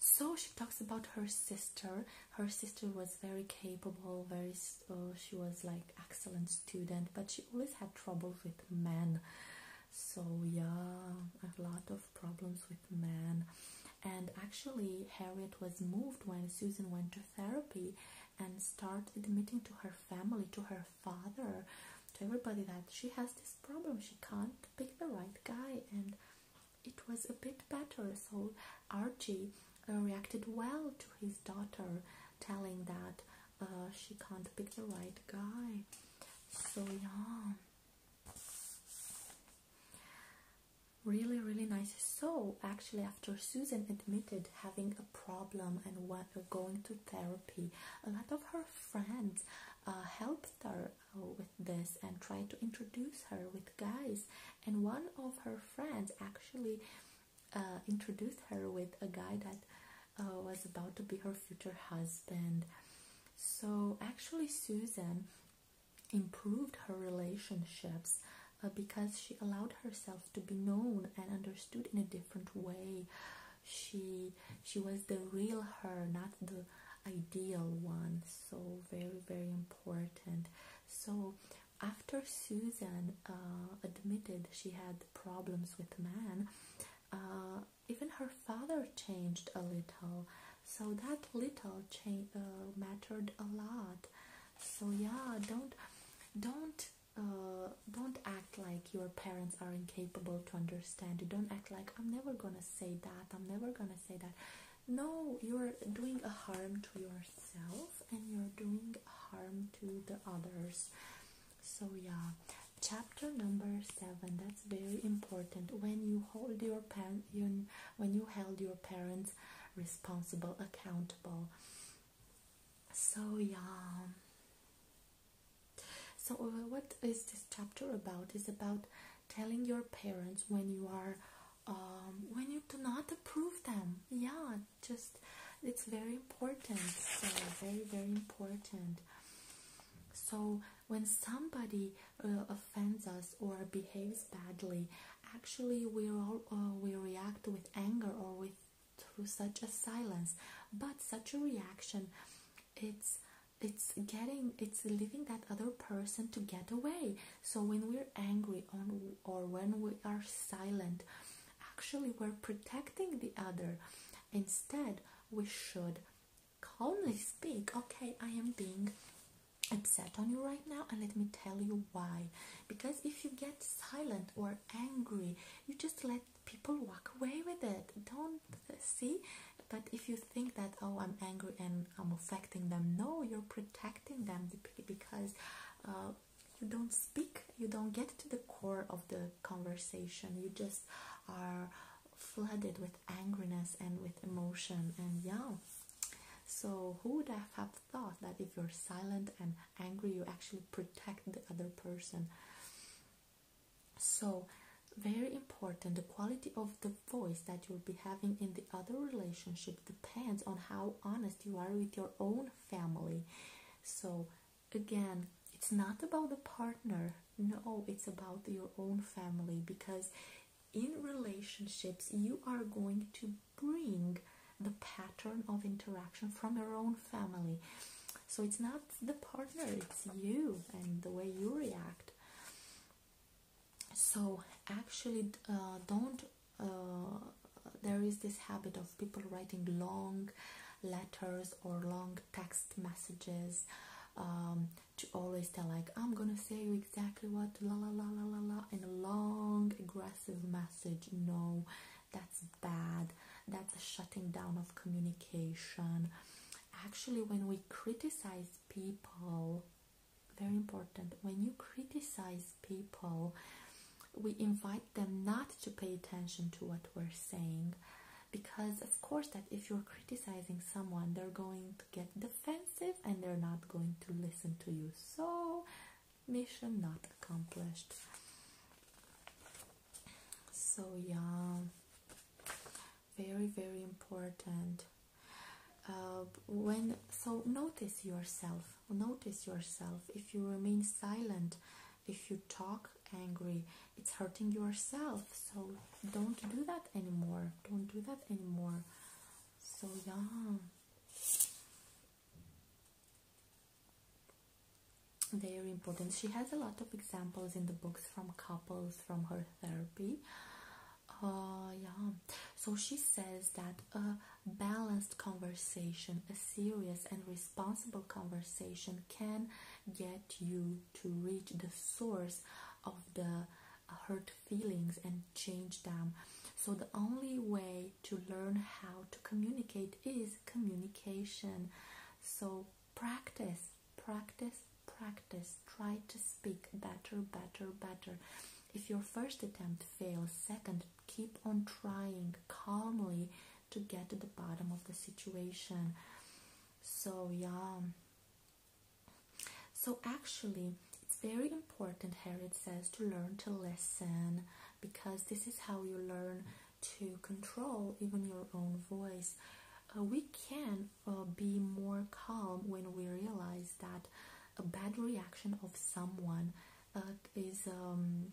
So she talks about her sister. Her sister was very capable, very uh, she was like excellent student, but she always had trouble with men. So yeah, a lot of problems with men. And actually, Harriet was moved when Susan went to therapy and started admitting to her family, to her father, to everybody that she has this problem. She can't pick the right guy, and it was a bit better. So Archie uh, reacted well to his daughter, telling that uh, she can't pick the right guy. So yeah. Really, really nice. So, actually, after Susan admitted having problem and what, uh, going to therapy. A lot of her friends uh, helped her uh, with this and tried to introduce her with guys. And one of her friends actually introduced her with a guy that was about to be her future husband. So actually, Susan improved her relationships because she allowed herself to be known and understood in a different way she she was the real her not the ideal one so very very important so after susan uh, admitted she had problems with man, uh, even her father changed a little so that little change uh, mattered a lot so yeah don't don't uh, don't act like your parents are incapable to understand you don't act like i'm never gonna say that i'm never gonna say that no you're doing a harm to yourself and you're doing harm to the others so yeah chapter number seven that's very important when you hold your pen when you held your parents responsible accountable so yeah so, uh, what is this chapter about? Is about telling your parents when you are, um, when you do not approve them. Yeah, just it's very important. very very important. So, when somebody uh, offends us or behaves badly, actually we all uh, we react with anger or with through such a silence but such a reaction it's it's getting it's leaving that other person to get away so when we're angry on or when we are silent actually we're protecting the other instead we should calmly speak okay i am being upset on you right now and let me tell you why because if you get silent or angry you just let people walk away with it. Don't see. But if you think that, oh, I'm angry and I'm affecting them, no, you're protecting them because uh, you don't speak, you don't get to the core of the conversation, you just are flooded with angriness and with emotion, and yeah. So, who would have thought that if you're silent and angry, you actually protect the other person? so very important the quality of the voice that you'll be having in the other relationship depends on how honest you are with your own family so again it's not about the partner no it's about your own family because in relationships you are going to bring the pattern of interaction from your own family so it's not the partner it's you and the way you react so actually uh, don't uh, there is this habit of people writing long letters or long text messages um, to always tell like i'm gonna say you exactly what la la la la la la in a long aggressive message no that's bad, that's a shutting down of communication. Actually, when we criticize people, very important, when you criticize people, we invite them not to pay attention to what we're saying because of course that if you're criticizing someone they're going to get defensive and they're not going to listen to you so mission not accomplished so yeah very very important uh, when so notice yourself notice yourself if you remain silent if you talk angry it's hurting yourself so don't do that anymore don't do that anymore so yeah very important. She has a lot of examples in the books from couples from her therapy. Uh, yeah, so she says that a balanced conversation, a serious and responsible conversation, can get you to reach the source of the hurt feelings and change them. So, the only way to learn how to communicate is communication. So, practice, practice, practice. Try to speak better, better, better. If your first attempt fails, second, keep on trying calmly to get to the bottom of the situation. So, yeah. So, actually, it's very important, Harriet says, to learn to listen because this is how you learn to control even your own voice. Uh, we can uh, be more calm when we realize that a bad reaction of someone uh, is um,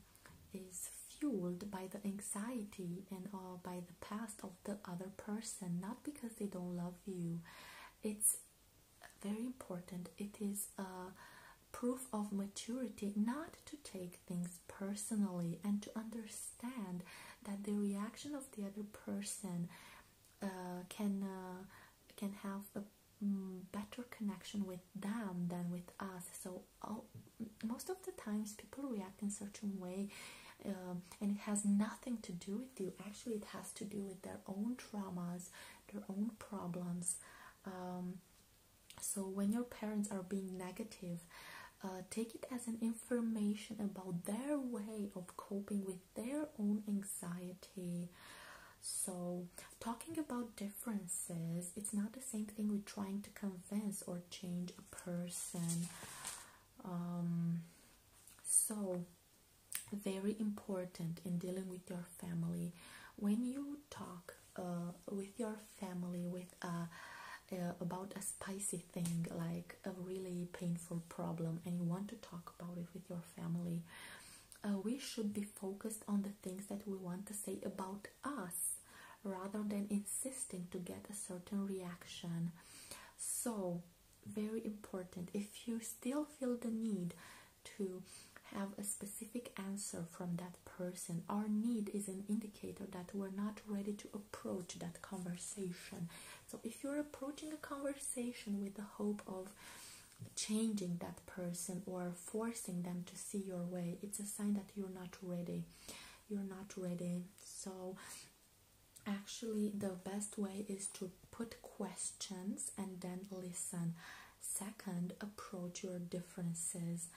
is fueled by the anxiety and uh, by the past of the other person, not because they don't love you. It's very important. It is a proof of maturity not to take things personally and to understand that the reaction of the other person uh, can uh, can have a mm, better connection with them than with us. So most of the times people react in certain way. Um, and it has nothing to do with you. Actually, it has to do with their own traumas, their own problems. Um, so, when your parents are being negative, uh, take it as an information about their way of coping with their own anxiety. So, talking about differences, it's not the same thing with trying to convince or change a person. Um, so, very important in dealing with your family when you talk uh, with your family, with about a spicy thing, like a really painful problem, and you want to talk about it with your family, uh, we should be focused on the things that we want to say about us rather than insisting to get a certain reaction. So, very important if you still feel the need to have a specific answer from that person, our need is an that we're not ready to approach that conversation. So, if you're approaching a conversation with the hope of changing that person or forcing them to see your way, it's a sign that you're not ready. You're not ready. So, actually, the best way is to put questions and then listen. Second, approach your differences.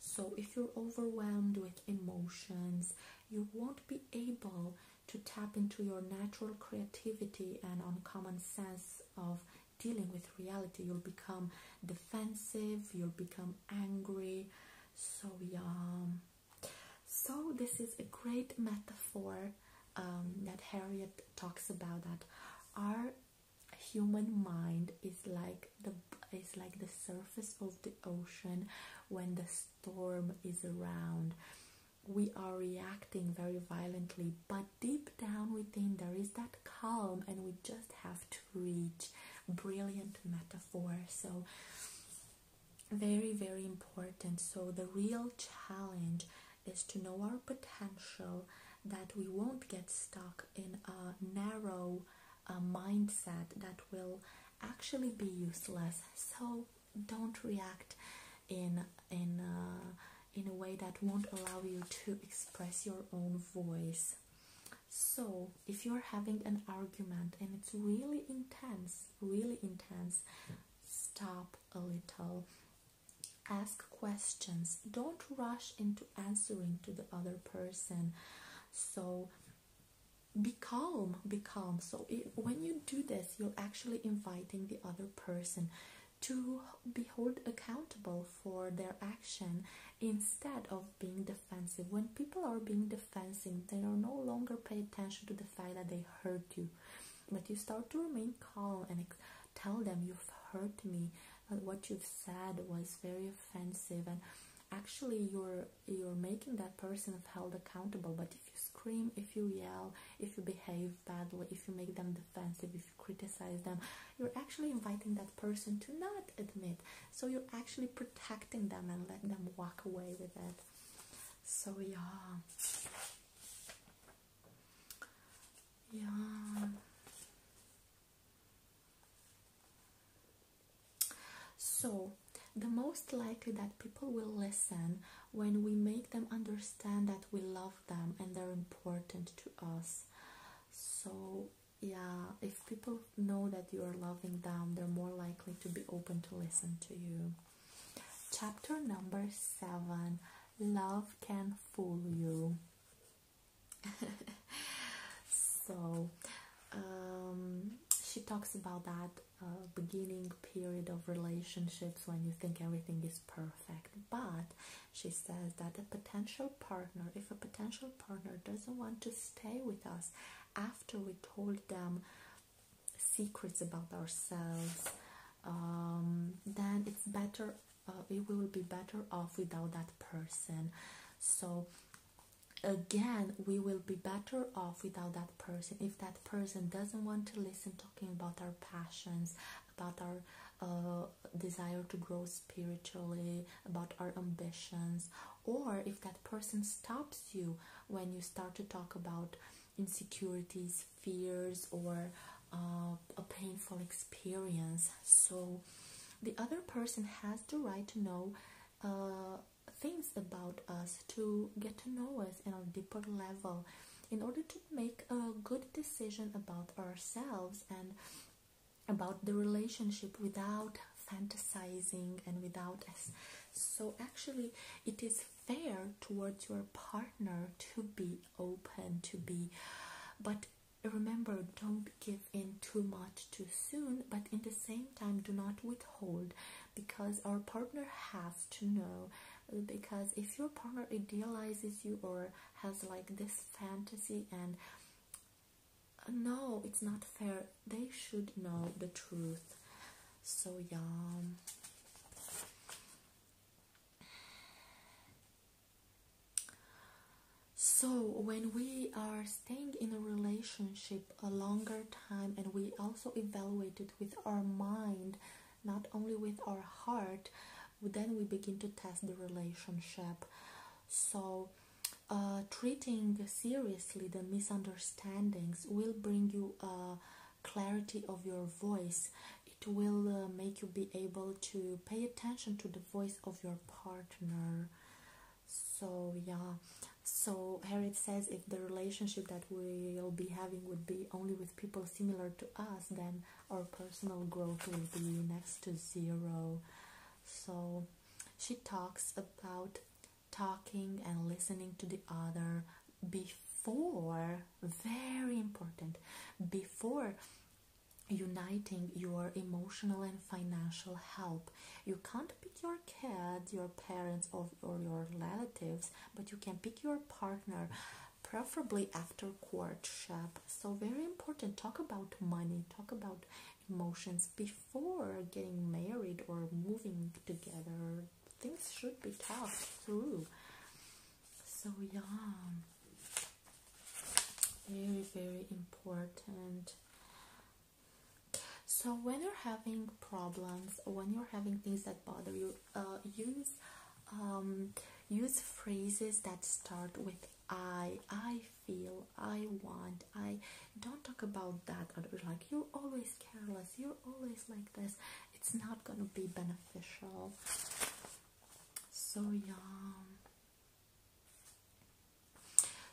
So, if you're overwhelmed with emotions, you won't be able to tap into your natural creativity and uncommon sense of dealing with reality. You'll become defensive, you'll become angry. So, yeah. So, this is a great metaphor um, that Harriet talks about that our human mind is like the is like the surface of the ocean when the storm is around. We are reacting very violently, but deep down within there is that calm, and we just have to reach. Brilliant metaphor. So, very, very important. So, the real challenge is to know our potential that we won't get stuck in a narrow uh, mindset that will actually be useless so don't react in in uh, in a way that won't allow you to express your own voice so if you're having an argument and it's really intense really intense stop a little ask questions don't rush into answering to the other person so be calm be calm so when you do this you're actually inviting the other person to be held accountable for their action instead of being defensive when people are being defensive they are no longer pay attention to the fact that they hurt you but you start to remain calm and tell them you've hurt me what you've said was very offensive and actually you're you're making that person held accountable but if you scream if you yell if you behave badly if you make them defensive if you criticize them you're actually inviting that person to not admit so you're actually protecting them and letting them walk away with it so yeah yeah so, the most likely that people will listen when we make them understand that we love them and they're important to us. So, yeah, if people know that you are loving them, they're more likely to be open to listen to you. Chapter number seven Love Can Fool You. so, um, she talks about that beginning period of relationships when you think everything is perfect but she says that a potential partner if a potential partner doesn't want to stay with us after we told them secrets about ourselves um, then it's better uh, it will be better off without that person so again we will be better off without that person if that person doesn't want to listen talking about our passions about our uh, desire to grow spiritually about our ambitions or if that person stops you when you start to talk about insecurities fears or uh, a painful experience so the other person has the right to know uh, things about us to get to know us in a deeper level in order to make a good decision about ourselves and about the relationship without fantasizing and without us so actually it is fair towards your partner to be open to be but remember don't give in too much too soon but in the same time do not withhold because our partner has to know because if your partner idealizes you or has like this fantasy and no it's not fair they should know the truth so yeah so when we are staying in a relationship a longer time and we also evaluate it with our mind not only with our heart then we begin to test the relationship so uh, treating seriously the misunderstandings will bring you a uh, clarity of your voice it will uh, make you be able to pay attention to the voice of your partner so yeah so Harriet says if the relationship that we'll be having would be only with people similar to us, then our personal growth will be next to zero. So she talks about talking and listening to the other before, very important, before uniting your emotional and financial help. You can't your kids, your parents, or, or your relatives, but you can pick your partner, preferably after courtship. So, very important. Talk about money, talk about emotions before getting married or moving together. Things should be talked through. So, yeah, very, very important. So when you're having problems, when you're having things that bother you, uh, use um, use phrases that start with I, I feel, I want, I. Don't talk about that. Like you're always careless. You're always like this. It's not gonna be beneficial. So yeah.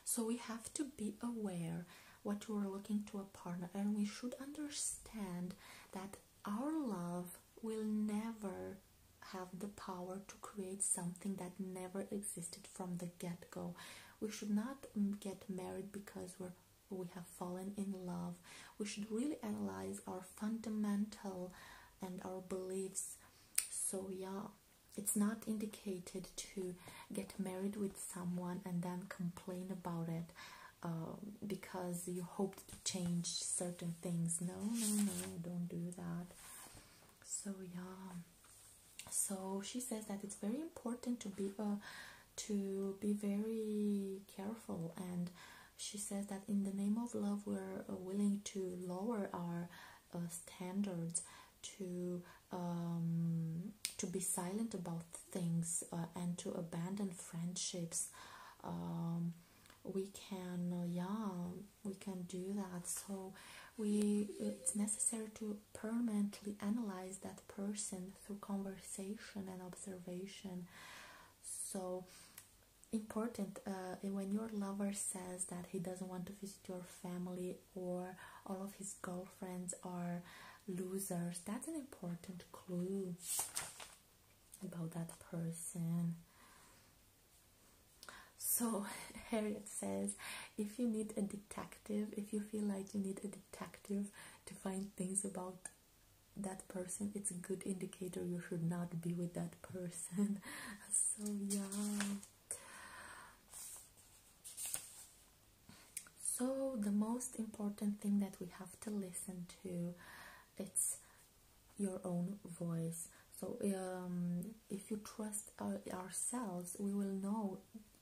So we have to be aware what you are looking to a partner and we should understand that our love will never have the power to create something that never existed from the get-go we should not mm, get married because we we have fallen in love we should really analyze our fundamental and our beliefs so yeah it's not indicated to get married with someone and then complain about it uh, because you hoped to change certain things. No, no, no, don't do that. So yeah. So she says that it's very important to be uh, to be very careful, and she says that in the name of love, we're uh, willing to lower our uh, standards to um, to be silent about things uh, and to abandon friendships um, we can uh, yeah we can do that so we it's necessary to permanently analyze that person through conversation and observation so important uh, when your lover says that he doesn't want to visit your family or all of his girlfriends are losers. That's an important clue about that person. So, Harriet says if you need a detective, if you feel like you need a detective to find things about that person, it's a good indicator you should not be with that person. so, yeah so the most important thing that we have to listen to it's your own voice so um, if you trust ourselves we will know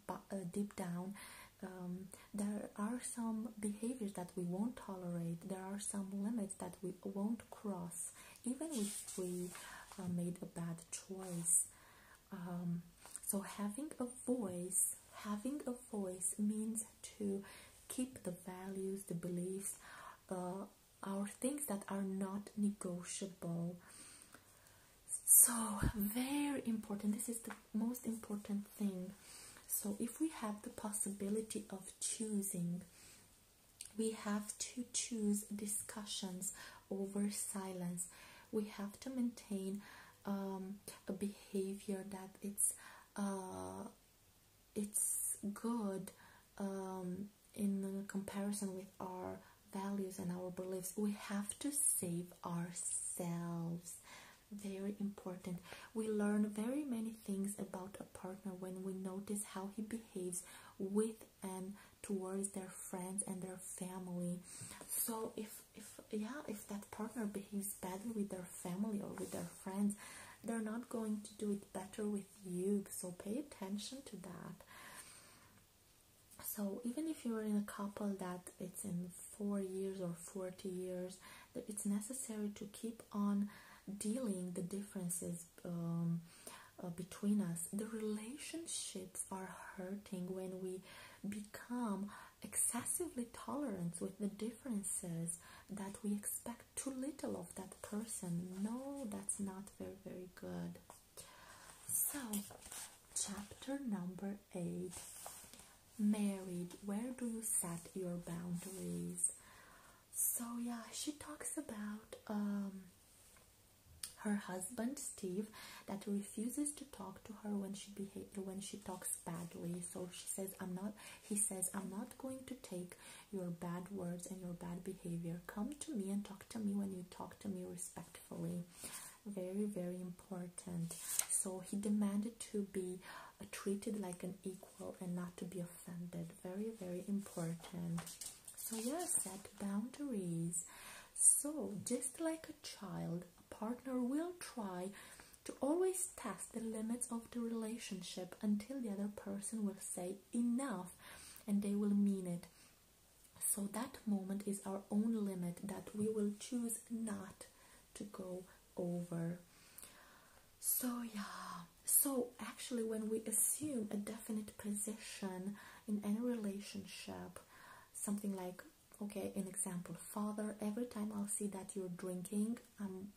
but, uh, deep down um, there are some behaviors that we won't tolerate there are some limits that we won't cross even if we uh, made a bad choice um, so having a voice, having a voice means to keep the values, the beliefs, uh, our things that are not negotiable. So very important. This is the most important thing. So if we have the possibility of choosing, we have to choose discussions over silence. We have to maintain um, a behavior that it's uh, it's good um, in comparison with our values and our beliefs. We have to save ourselves. Very important. We learn very many things about a partner when we notice how he behaves with and towards their friends and their family. So, if if yeah if that partner behaves badly with their family or with their friends they're not going to do it better with you so pay attention to that so even if you're in a couple that it's in 4 years or 40 years it's necessary to keep on dealing the differences um, uh, between us the relationships are hurting when we become excessively tolerant with the differences that we expect too little of that person. No, that's not very, very good. So, chapter number eight Married, where do you set your boundaries? So, yeah, she talks about um, her husband Steve that refuses to talk to her when she behaves when she talks badly so she says i'm not he says i'm not going to take your bad words and your bad behavior come to me and talk to me when you talk to me respectfully very very important so he demanded to be uh, treated like an equal and not to be offended very very important so yes, set boundaries so just like a child a partner will try to always test the limits of the relationship until the other person will say enough and they will mean it. So that moment is our own limit that we will choose not to go over. So, yeah, so actually, when we assume a definite position in any relationship, something like okay an example father every time i see that you're drinking i'm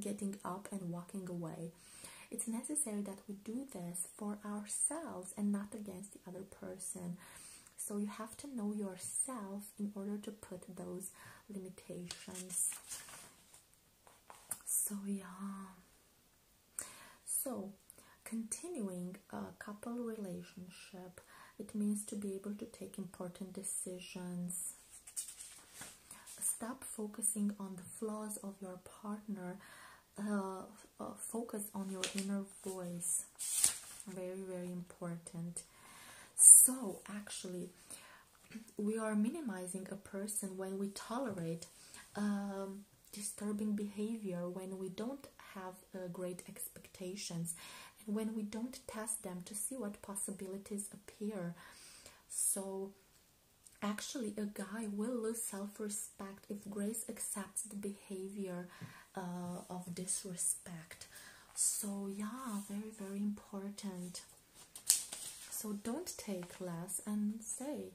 getting up and walking away it's necessary that we do this for ourselves and not against the other person so you have to know yourself in order to put those limitations so yeah so continuing a couple relationship it means to be able to take important decisions Stop focusing on the flaws of your partner. Uh, uh, focus on your inner voice. Very, very important. So, actually, we are minimizing a person when we tolerate um, disturbing behavior, when we don't have uh, great expectations, and when we don't test them to see what possibilities appear. So, actually, a guy will lose self respect if Grace accepts the behavior uh, of disrespect. So, yeah, very, very important. So, don't take less and say.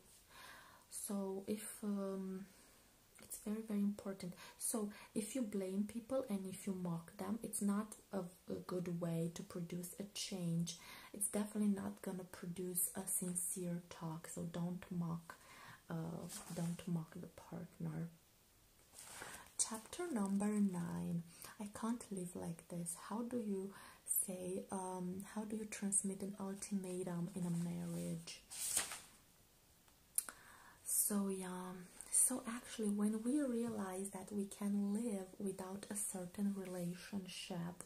So, if um, it's very, very important. So, if you blame people and if you mock them, it's not of a good way to produce a change it's definitely not gonna produce a sincere talk so don't mock uh, don't mock the partner chapter number nine i can't live like this how do you say um, how do you transmit an ultimatum in a marriage so yeah so actually when we realize that we can live without a certain relationship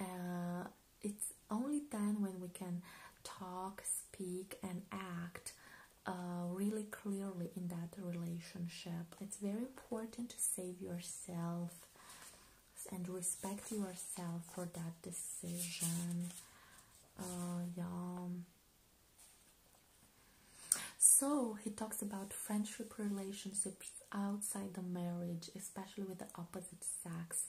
uh, it's only then when we can talk speak and act uh, really clearly in that relationship it's very important to save yourself and respect yourself for that decision yeah uh, so he talks about friendship relationships outside the marriage, especially with the opposite sex.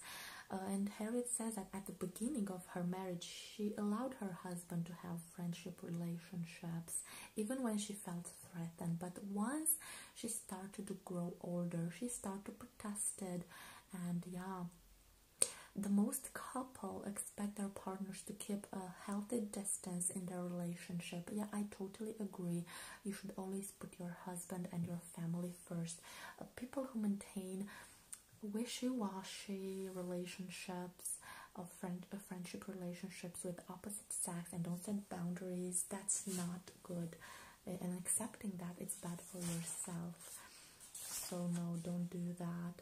Uh, and Harriet says that at the beginning of her marriage, she allowed her husband to have friendship relationships, even when she felt threatened. But once she started to grow older, she started to protest it, and yeah. The most couple, expect their partners to keep a healthy distance in their relationship. Yeah, I totally agree. You should always put your husband and your family first. Uh, people who maintain wishy-washy relationships of uh, friend uh, friendship relationships with opposite sex and don't set boundaries that's not good and accepting that it's bad for yourself so no don't do that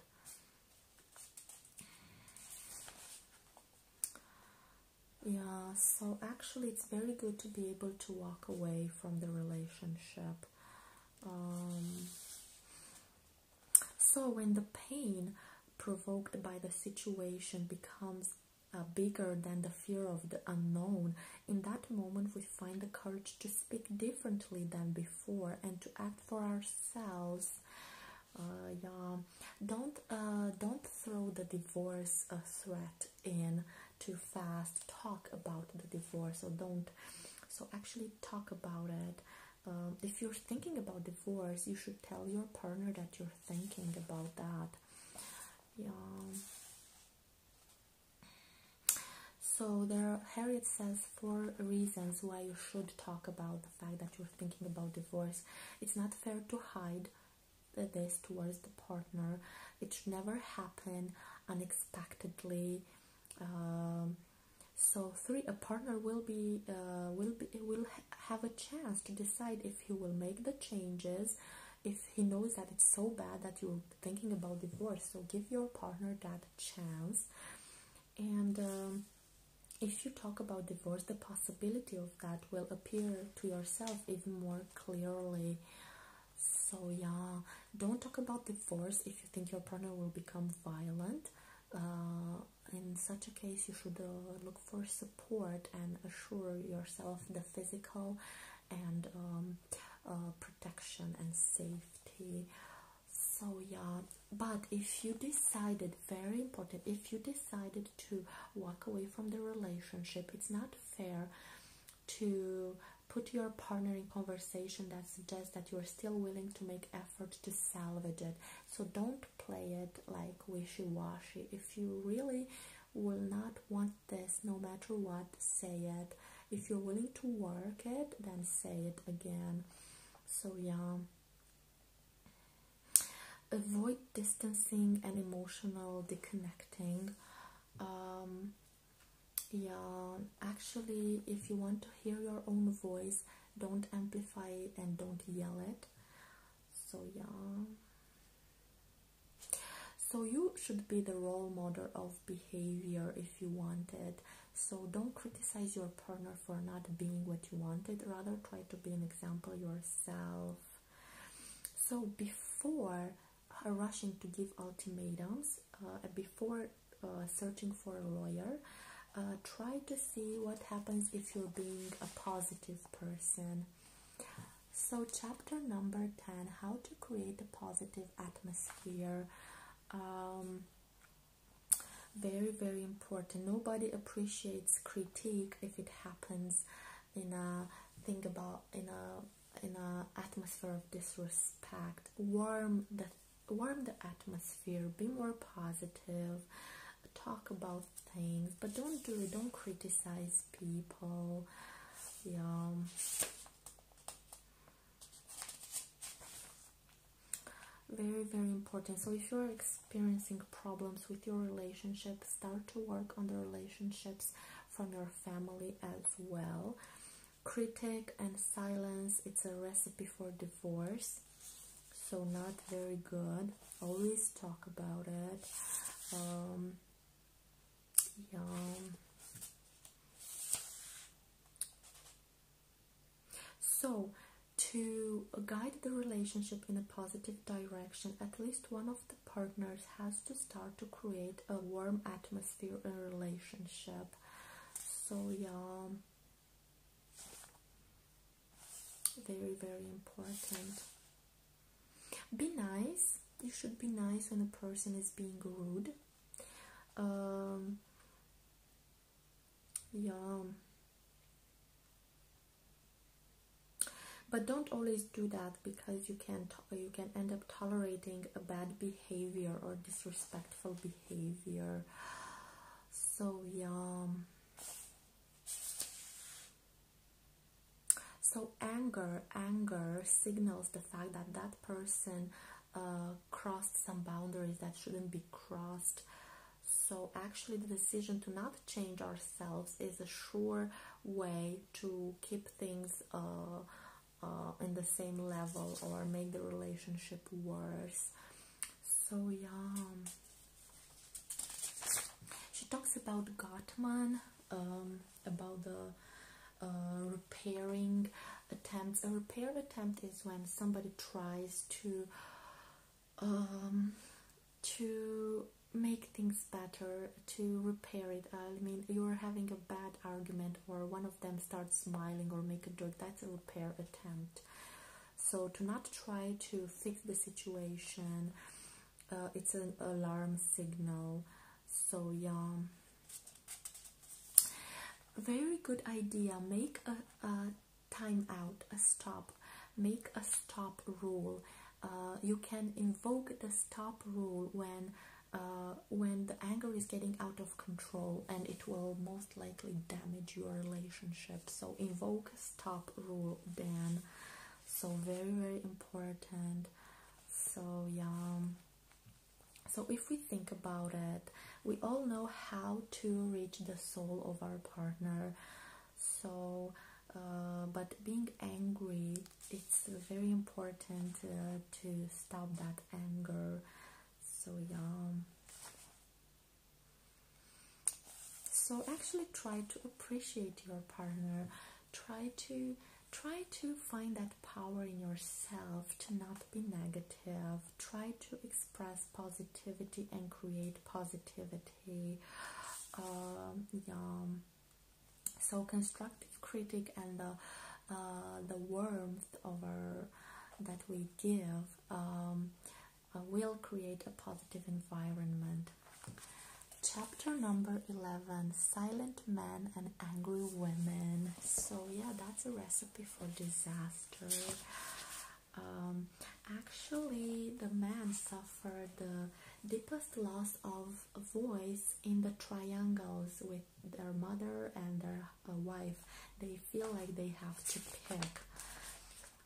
yeah, so actually, it's very good to be able to walk away from the relationship. Um, so, when the pain provoked by the situation becomes uh, bigger than the fear of the unknown, in that moment we find the courage to speak differently than before and to act for ourselves uh, yeah, don't uh, don't throw the divorce uh, threat in too fast. Talk about the divorce, so don't. So actually, talk about it. Um, if you're thinking about divorce, you should tell your partner that you're thinking about that. Yeah. So there, Harriet says four reasons why you should talk about the fact that you're thinking about divorce. It's not fair to hide this towards the partner. It should never happen unexpectedly. Um, so three, a partner will be uh, will be will have a chance to decide if he will make the changes. If he knows that it's so bad that you're thinking about divorce, so give your partner that chance. And um, if you talk about divorce, the possibility of that will appear to yourself even more clearly. So, yeah, don't talk about divorce if you think your partner will become violent. Uh, in such a case, you should uh, look for support and assure yourself the physical and um, uh, protection and safety. So, yeah, but if you decided very important if you decided to walk away from the relationship it's not fair to put your partner in conversation that suggests that you're still willing to make effort to salvage it so don't play it like wishy-washy if you really will not want this no matter what say it if you're willing to work it then say it again so yeah avoid distancing and emotional disconnecting. Um, yeah, actually, if you want to hear your own voice, don't amplify it and don't yell it. So, yeah. So, you should be the role model of behavior if you want it. So, don't criticize your partner for not being what you wanted, rather try to be an example yourself. So, before uh, rushing to give ultimatums, uh, before uh, searching for a lawyer, uh, try to see what happens if you're being a positive person. So, chapter number 10 How to Create a Positive Atmosphere. Um, very very important nobody appreciates critique if it happens in a think about in a in a atmosphere of disrespect warm the warm the atmosphere be more positive talk about things but don't do it don't criticize people yeah very very important so if you're experiencing problems with your relationship, start to work on the relationships from your family as well. Critic and silence, it's a recipe for divorce, so not very good. Always talk about it. Um, So, to guide the relationship in a positive direction, at least one of the partners has to start to create a warm atmosphere in relationship. So, yeah, very, very important. Be nice. You should be nice when a person is being rude. Um, yeah but don't always do that because you can you can end up tolerating a bad behavior or disrespectful behavior. So yeah. So anger, anger signals the fact that that person uh, crossed some boundaries that shouldn't be crossed. So, actually, the decision to not change ourselves is a sure way to keep things uh, uh, in the same level or make the relationship worse. So, yeah. She talks about Gottman, um, about the uh, repairing attempts. A repair attempt is when somebody tries to um, to make things better, to repair it. Uh, I mean, you're having a bad argument, or one of them starts smiling or make a joke. That's a repair attempt. So to not try to fix the situation, uh, it's an alarm signal. So yeah, very good idea. Make a time out, a stop, make a stop rule. Uh, you can invoke the stop rule when uh, when the anger is getting out of control and it will most likely damage your relationship. So invoke stop rule then. So very very important. So yeah. So if we think about it, we all know how to reach the soul of our partner so uh, but being angry it's very important uh, to stop that anger so yeah so actually try to appreciate your partner try to try to find that power in yourself to not be negative try to express positivity and create positivity society. Um, yeah. So constructive critic and the uh, the warmth over that we give um, uh, will create a positive environment. Chapter number eleven: Silent men and angry women. So yeah, that's a recipe for disaster. Um, actually, the man suffered the deepest loss of voice in the triangles with their mother and their uh, wife. They feel like they have to pick.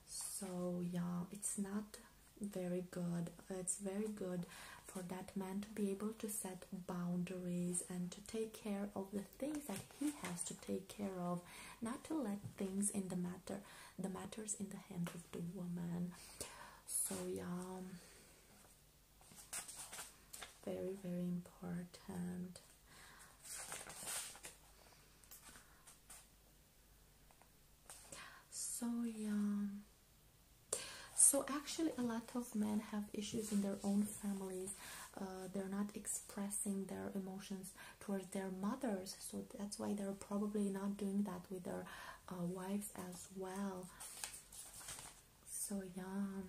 So, yeah, it's not very good. It's very good for that man to be able to set boundaries and to take care of the things that he has to take care of, not to let things in the matter, the matters in the hand the woman. So yeah, very very important. So yeah. So actually, a lot of men have issues in their own families. Uh, they're not expressing their emotions towards their mothers so that's why they're probably not doing that with their uh, wives as well so yeah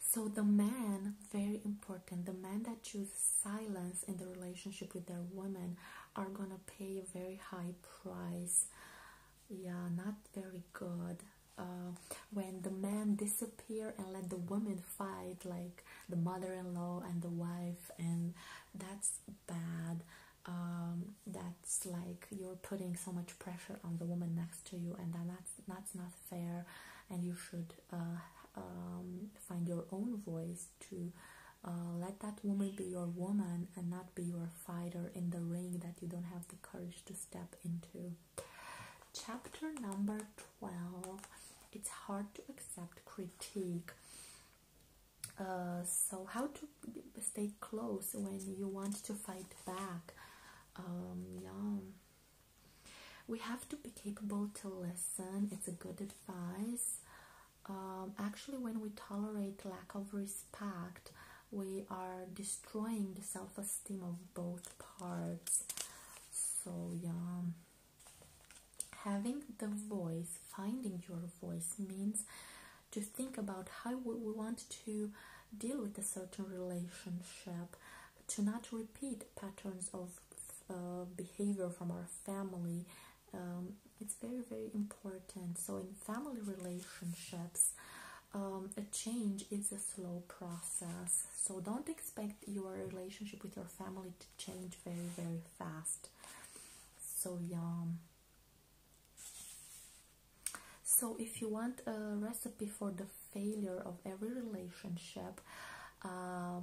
so the man very important the man that choose silence in the relationship with their woman are gonna pay a very high price yeah not very good uh, when the man disappear and let the woman fight like the mother-in-law and the wife and that's bad um, that's like you're putting so much pressure on the woman next to you and that's that's not fair and you should uh, um, find your own voice to uh, let that woman be your woman and not be your fighter in the ring that you don't have the courage to step into chapter number 12 it's hard to accept critique uh, so how to stay close when you want to fight back um, yeah we have to be capable to listen it's a good advice um, actually when we tolerate lack of respect we are destroying the self-esteem of both parts so yeah having the voice, finding your voice means to think about how we want to deal with a certain relationship, to not repeat patterns of uh, behavior from our family. Um, it's very, very important. So, in family relationships, um, a change is a slow process. So, don't expect your relationship with your family to change very, very fast so yum so if you want a recipe for the failure of every relationship uh,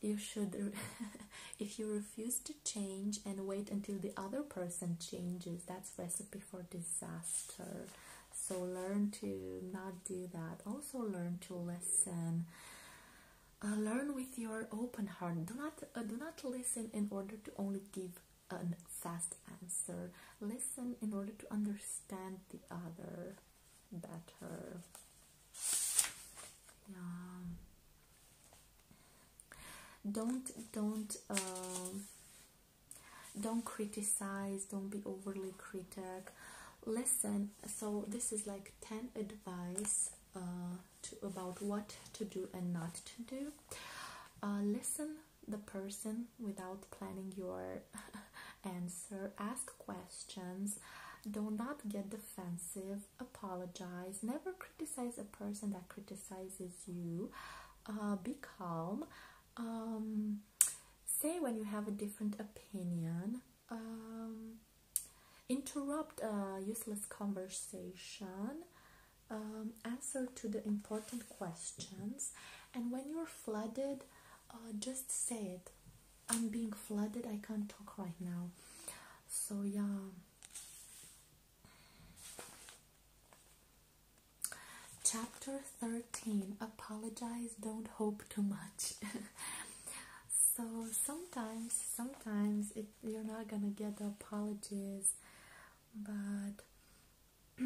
you should if you refuse to change and wait until the other person changes that's recipe for disaster so learn to not do that also learn to listen uh, learn with your open heart. Do not uh, do not listen in order to only give a fast answer. Listen in order to understand the other better. Yeah. Don't don't um, don't criticize. Don't be overly critical. Listen. So this is like ten advice. Uh, to, about what to do and not to do. Uh, listen the person without planning your answer. Ask questions. Do not get defensive. Apologize. Never criticize a person that criticizes you. Uh, be calm. Um, say when you have a different opinion. Um, interrupt a useless conversation, um, answer to the important questions, and when you're flooded, uh, just say it. I'm being flooded, I can't talk right now. So, yeah. Chapter 13 Apologize, don't hope too much. so, sometimes, sometimes you're not gonna get apologies, but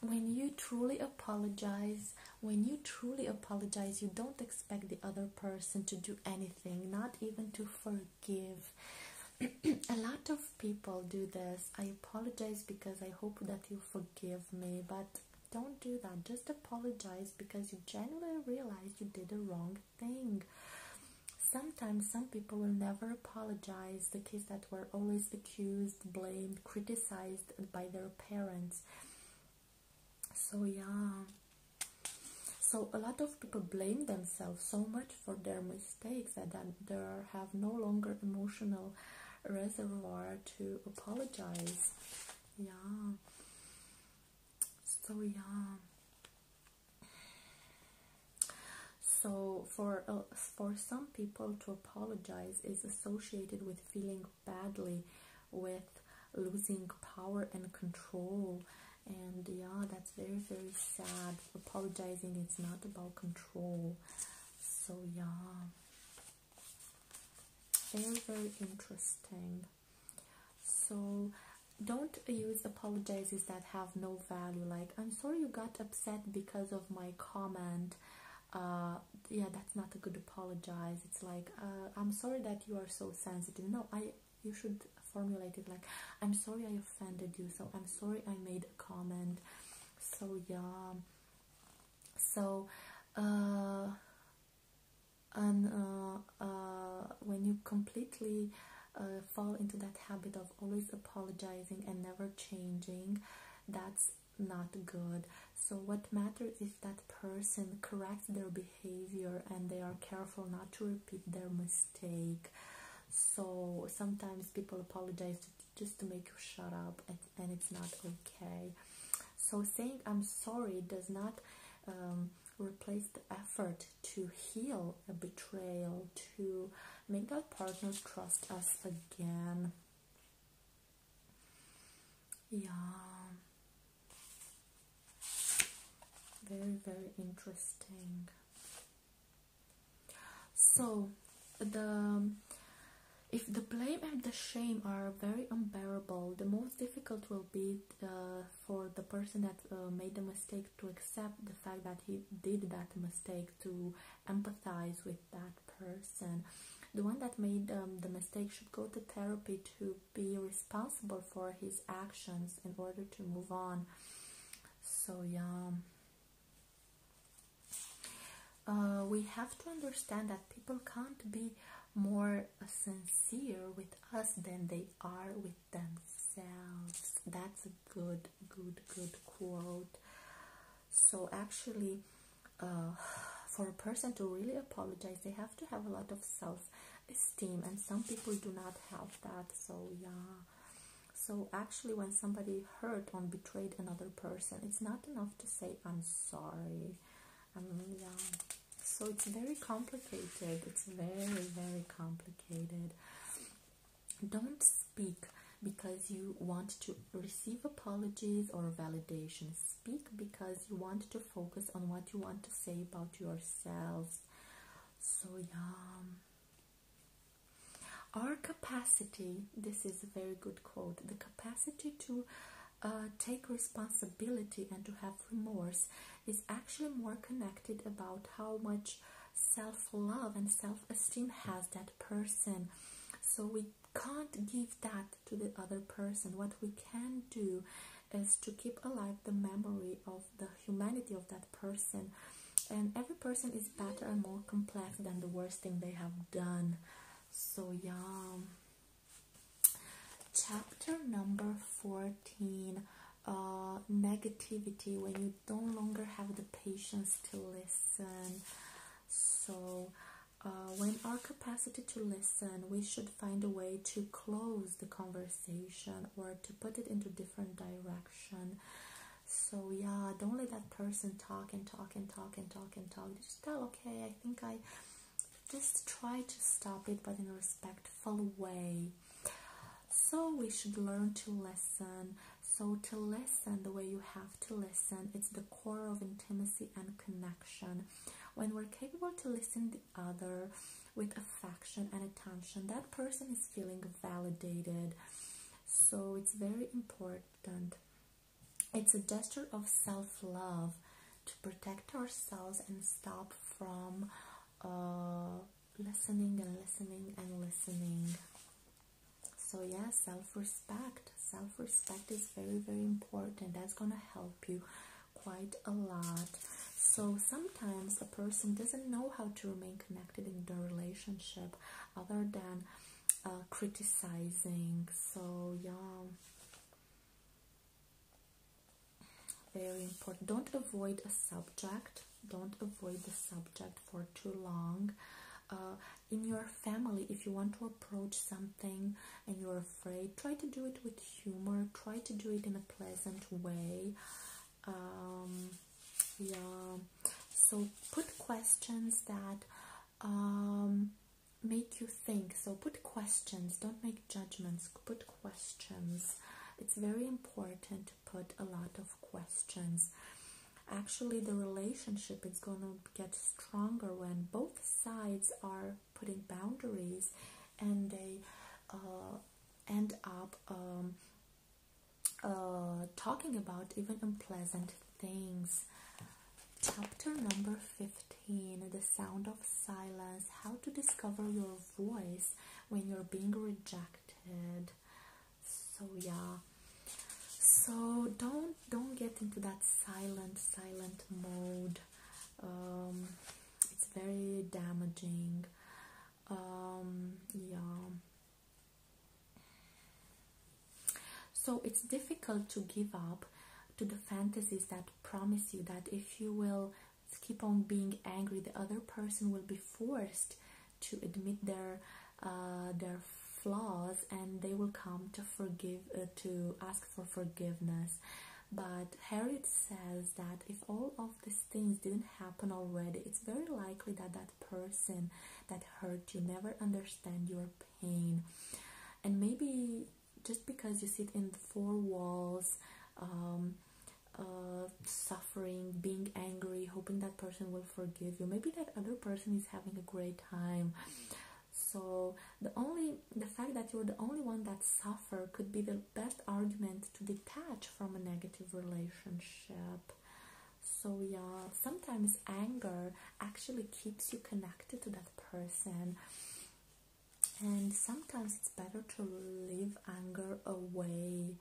when you truly apologize, when you truly apologize, you don't expect the other person to do anything, not even to forgive. a lot of people do this. I apologize because I hope that you forgive me, but don't do that. Just apologize because you genuinely realize you did a wrong thing. Sometimes some people will never apologize, the kids that were always accused, blamed, criticized by their parents. So, yeah. So, a lot of people blame themselves so much for their mistakes that they have no longer emotional reservoir to apologize. Yeah so yeah so for uh, for some people to apologize is associated with feeling badly with losing power and control and yeah that's very very sad apologizing it's not about control so yeah very very interesting so don't use apologies that have no value like i'm sorry you got upset because of my comment uh, yeah that's not a good apologize it's like uh, i'm sorry that you are so sensitive no i you should formulate it like i'm sorry i offended you so i'm sorry i made a comment so yeah so uh, and uh, uh, when you completely uh, fall into that habit of always apologizing and never changing, that's not good. So, what matters is that person corrects their behavior and they are careful not to repeat their mistake. So, sometimes people apologize just to make you shut up, and, it's not okay. So, saying I'm sorry does not um, replace the effort to heal a betrayal, to make our partners trust us again. Yeah. Very, very interesting. So, the if the blame and the shame are very unbearable, the most difficult will be the for the person that uh, made the mistake to accept the fact that he did that mistake, to empathize with that person. The one that made um, the mistake should go to therapy to be responsible for his actions in order to move on. So, yeah. Uh, we have to understand that people can't be more sincere with us than they are with themselves. That's a good, good, good quote. So, actually, uh, for a person to really apologize, they have to have a lot of self esteem, and some people do not have that. So, yeah. So, actually, when somebody hurt or betrayed another person, it's not enough to say, I'm sorry. I mean, yeah. So it's very complicated. It's very, very complicated. Don't speak because you want to receive apologies or validation. Speak because you want to focus on what you want to say about yourselves. So, yeah. Our capacity, this is a very good quote, the capacity to uh, take responsibility and to have remorse is actually more connected about how much self-love and self-esteem has that person so we can't give that to the other person what we can do is to keep alive the memory of the humanity of that person and every person is better and more complex than the worst thing they have done so yeah chapter number 14 uh, negativity when you don't longer have the patience to listen. So, uh, when our capacity to listen, we should find a way to close the conversation or to put it into different direction. So yeah, don't let that person talk and talk and talk and talk and talk. Just tell, okay, I think I just try to stop it, but in a respectful way. So we should learn to listen. So to listen, the way you have to listen, it's the core of intimacy and connection. When we're capable to listen to the other with affection and attention, that person is feeling validated. So it's very important. It's a gesture of self-love to protect ourselves and stop from uh, listening and listening and listening. So, yeah, self respect. Self respect is very, very important. That's going to help you quite a lot. So, sometimes a person doesn't know how to remain connected in the relationship other than uh, criticizing. So, yeah very important don't avoid a subject don't avoid the subject for too long uh, in your family if you want to approach something and you're afraid try to do it with humor try to do it in a pleasant way um, yeah so put questions that um, make you think so put questions don't make judgments put questions it's very important put a lot of questions. Actually, the relationship is going to get stronger when both sides are putting boundaries and they uh, end up um, uh, talking about even unpleasant things. Chapter number 15 The Sound of Silence How to Discover Your Voice When You're Being Rejected so yeah so don't don't get into that silent silent mode um it's very damaging um yeah so it's difficult to give up to the fantasies that promise you that if you will keep on being angry, the other person will be forced to admit their uh, their flaws, and they will come to forgive uh, to ask for forgiveness. But Harriet says that if all of these things didn't happen already, it's very likely that that person that hurt you never understand your pain, and maybe just because you sit in the four walls. Um, uh, suffering, being angry, hoping that person will forgive you. Maybe that other person is having a great time. So the only the fact that you're the only one that suffer could be the best argument to detach from a negative relationship. So yeah, sometimes anger actually keeps you connected to that person. And sometimes it's better to leave anger away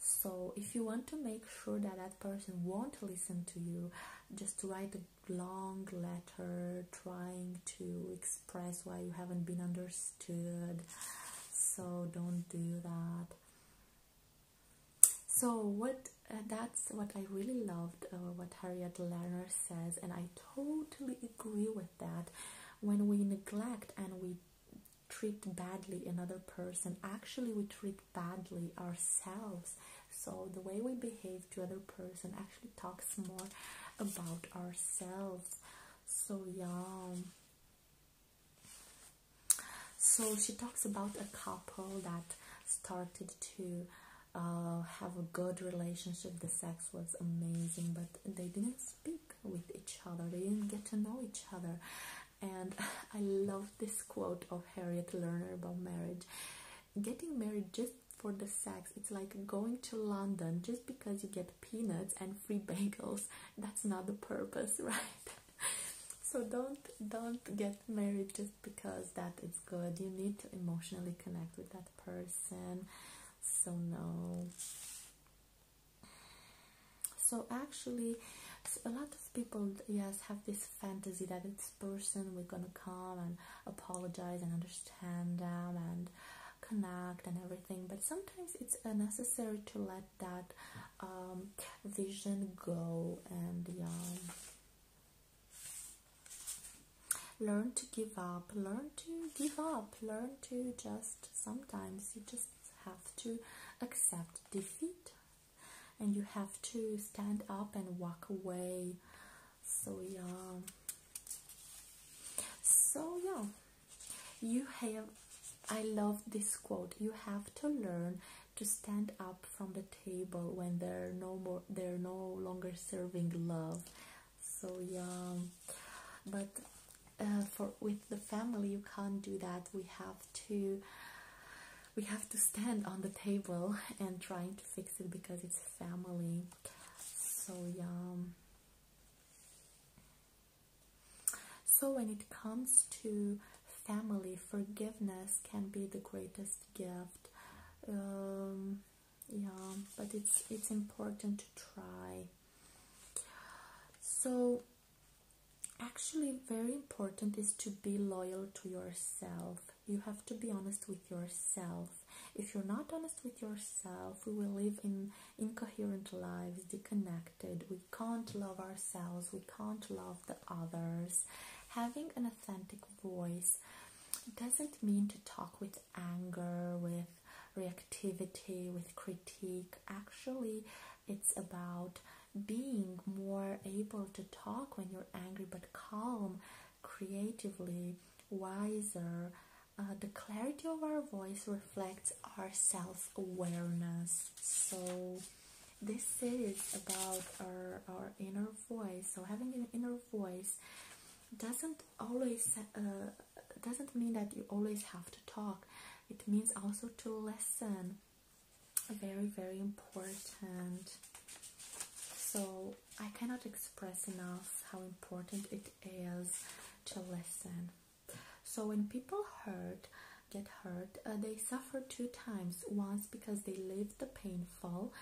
so if you want to make sure that that person won't listen to you just write a long letter trying to express why you haven't been understood so don't do that so what uh, that's what i really loved uh, what harriet lerner says and i totally agree with that when we neglect and we treat badly another person actually we treat badly ourselves so the way we behave to other person actually talks more about ourselves so yeah so she talks about a couple that started to uh, have a good relationship the sex was amazing but they didn't speak with each other, they didn't get to know each other. And I love this quote of Harriet Lerner about marriage. Getting married just for the sex, it's like going to London just because you get peanuts and free bagels. That's not the purpose, right? so don't don't get married just because that is good. You need to emotionally connect with that person. So no so actually a lot of people yes have this fantasy that this person we're gonna come and apologize and understand them and connect and everything but sometimes it's necessary to let that um, vision go and um, learn to give up learn to give up learn to just sometimes you just have to accept defeat and you have to stand up and walk away. So, yeah. So, yeah. You have, I love this quote, you have to learn to stand up from the table when they're no more they're no longer serving love so yeah but uh, for with the family you can't do that we have to we have to stand on the table and trying to fix it because it's family so yeah so when it comes to family forgiveness can be the greatest gift um, yeah but it's it's important to try so actually very important is to be loyal to yourself. You have to be honest with yourself. If you're not honest with yourself, we will live in incoherent lives, disconnected. We can't love ourselves, we can't love the others. Having an authentic voice doesn't mean to talk with anger, with reactivity, with critique. Actually, it's about being more able to talk when you're angry, but calm, creatively, wiser. Uh, the clarity of our voice reflects our self awareness. So, this is about our, our inner voice. So, having an inner voice doesn't always uh, doesn't mean that you always have to talk it means also to listen very very important so i cannot express enough how important it is to listen so when people hurt get hurt uh, they suffer two times once because they live the painful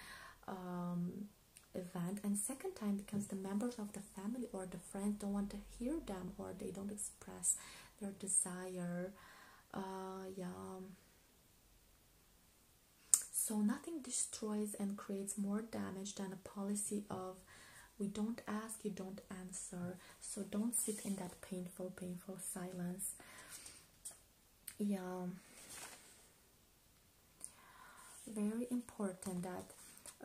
um, event and second time because the members of the family or the friends don't want to hear them or they don't express their desire uh, yeah so nothing destroys and creates more damage than a policy of we don't ask you don't answer so don't sit in that painful painful silence yeah very important that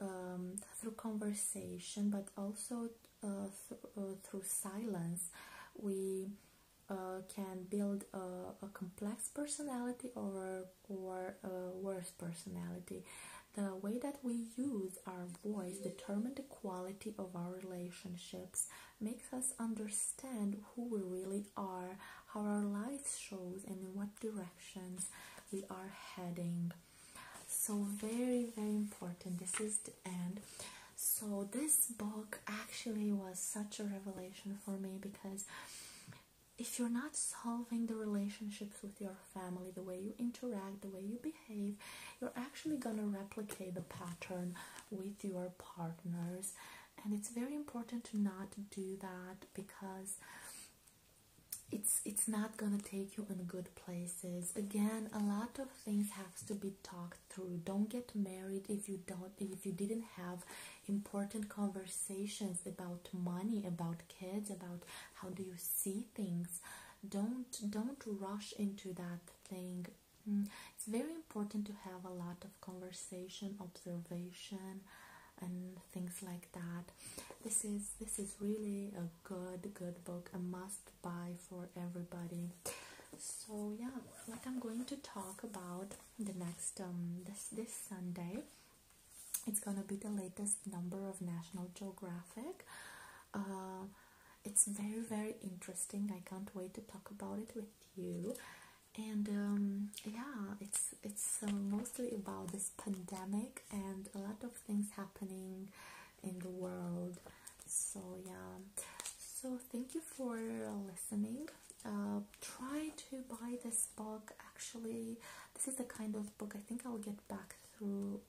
um, through conversation but also uh, uh, through silence we uh, can build a, complex personality or, or a worse personality. The way that we use our voice determines the quality of our relationships, makes us understand who we really are, how our life shows, and in what directions we are heading so very very important this is the end so this book actually was such a revelation for me because if you're not solving the relationships with your family the way you interact the way you behave you're actually going to replicate the pattern with your partners and it's very important to not do that because it's it's not going to take you in good places again a lot of things has to be talked through. Don't get married if you don't if you didn't have important conversations about money, about kids, about how do you see things. Don't don't rush into that thing. Mm, it's very important to have a lot of conversation, observation, and things like that. This is this is really a good good book, a must must buy for everybody. So yeah, what I'm going to talk about the next um, this this Sunday, it's gonna be the latest number of National Geographic. Uh, it's very very interesting. I can't wait to talk about it with you. And um, yeah, it's it's uh, mostly about this pandemic and a lot of things happening in the world. So yeah. So thank you for listening. Uh, try to buy this book. Actually, this is the kind of book I think I'll get back through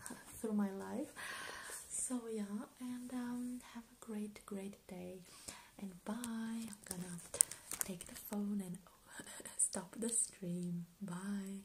through my life. So yeah, and um, have a great, great day. And bye. I'm gonna take the phone and stop the stream. Bye.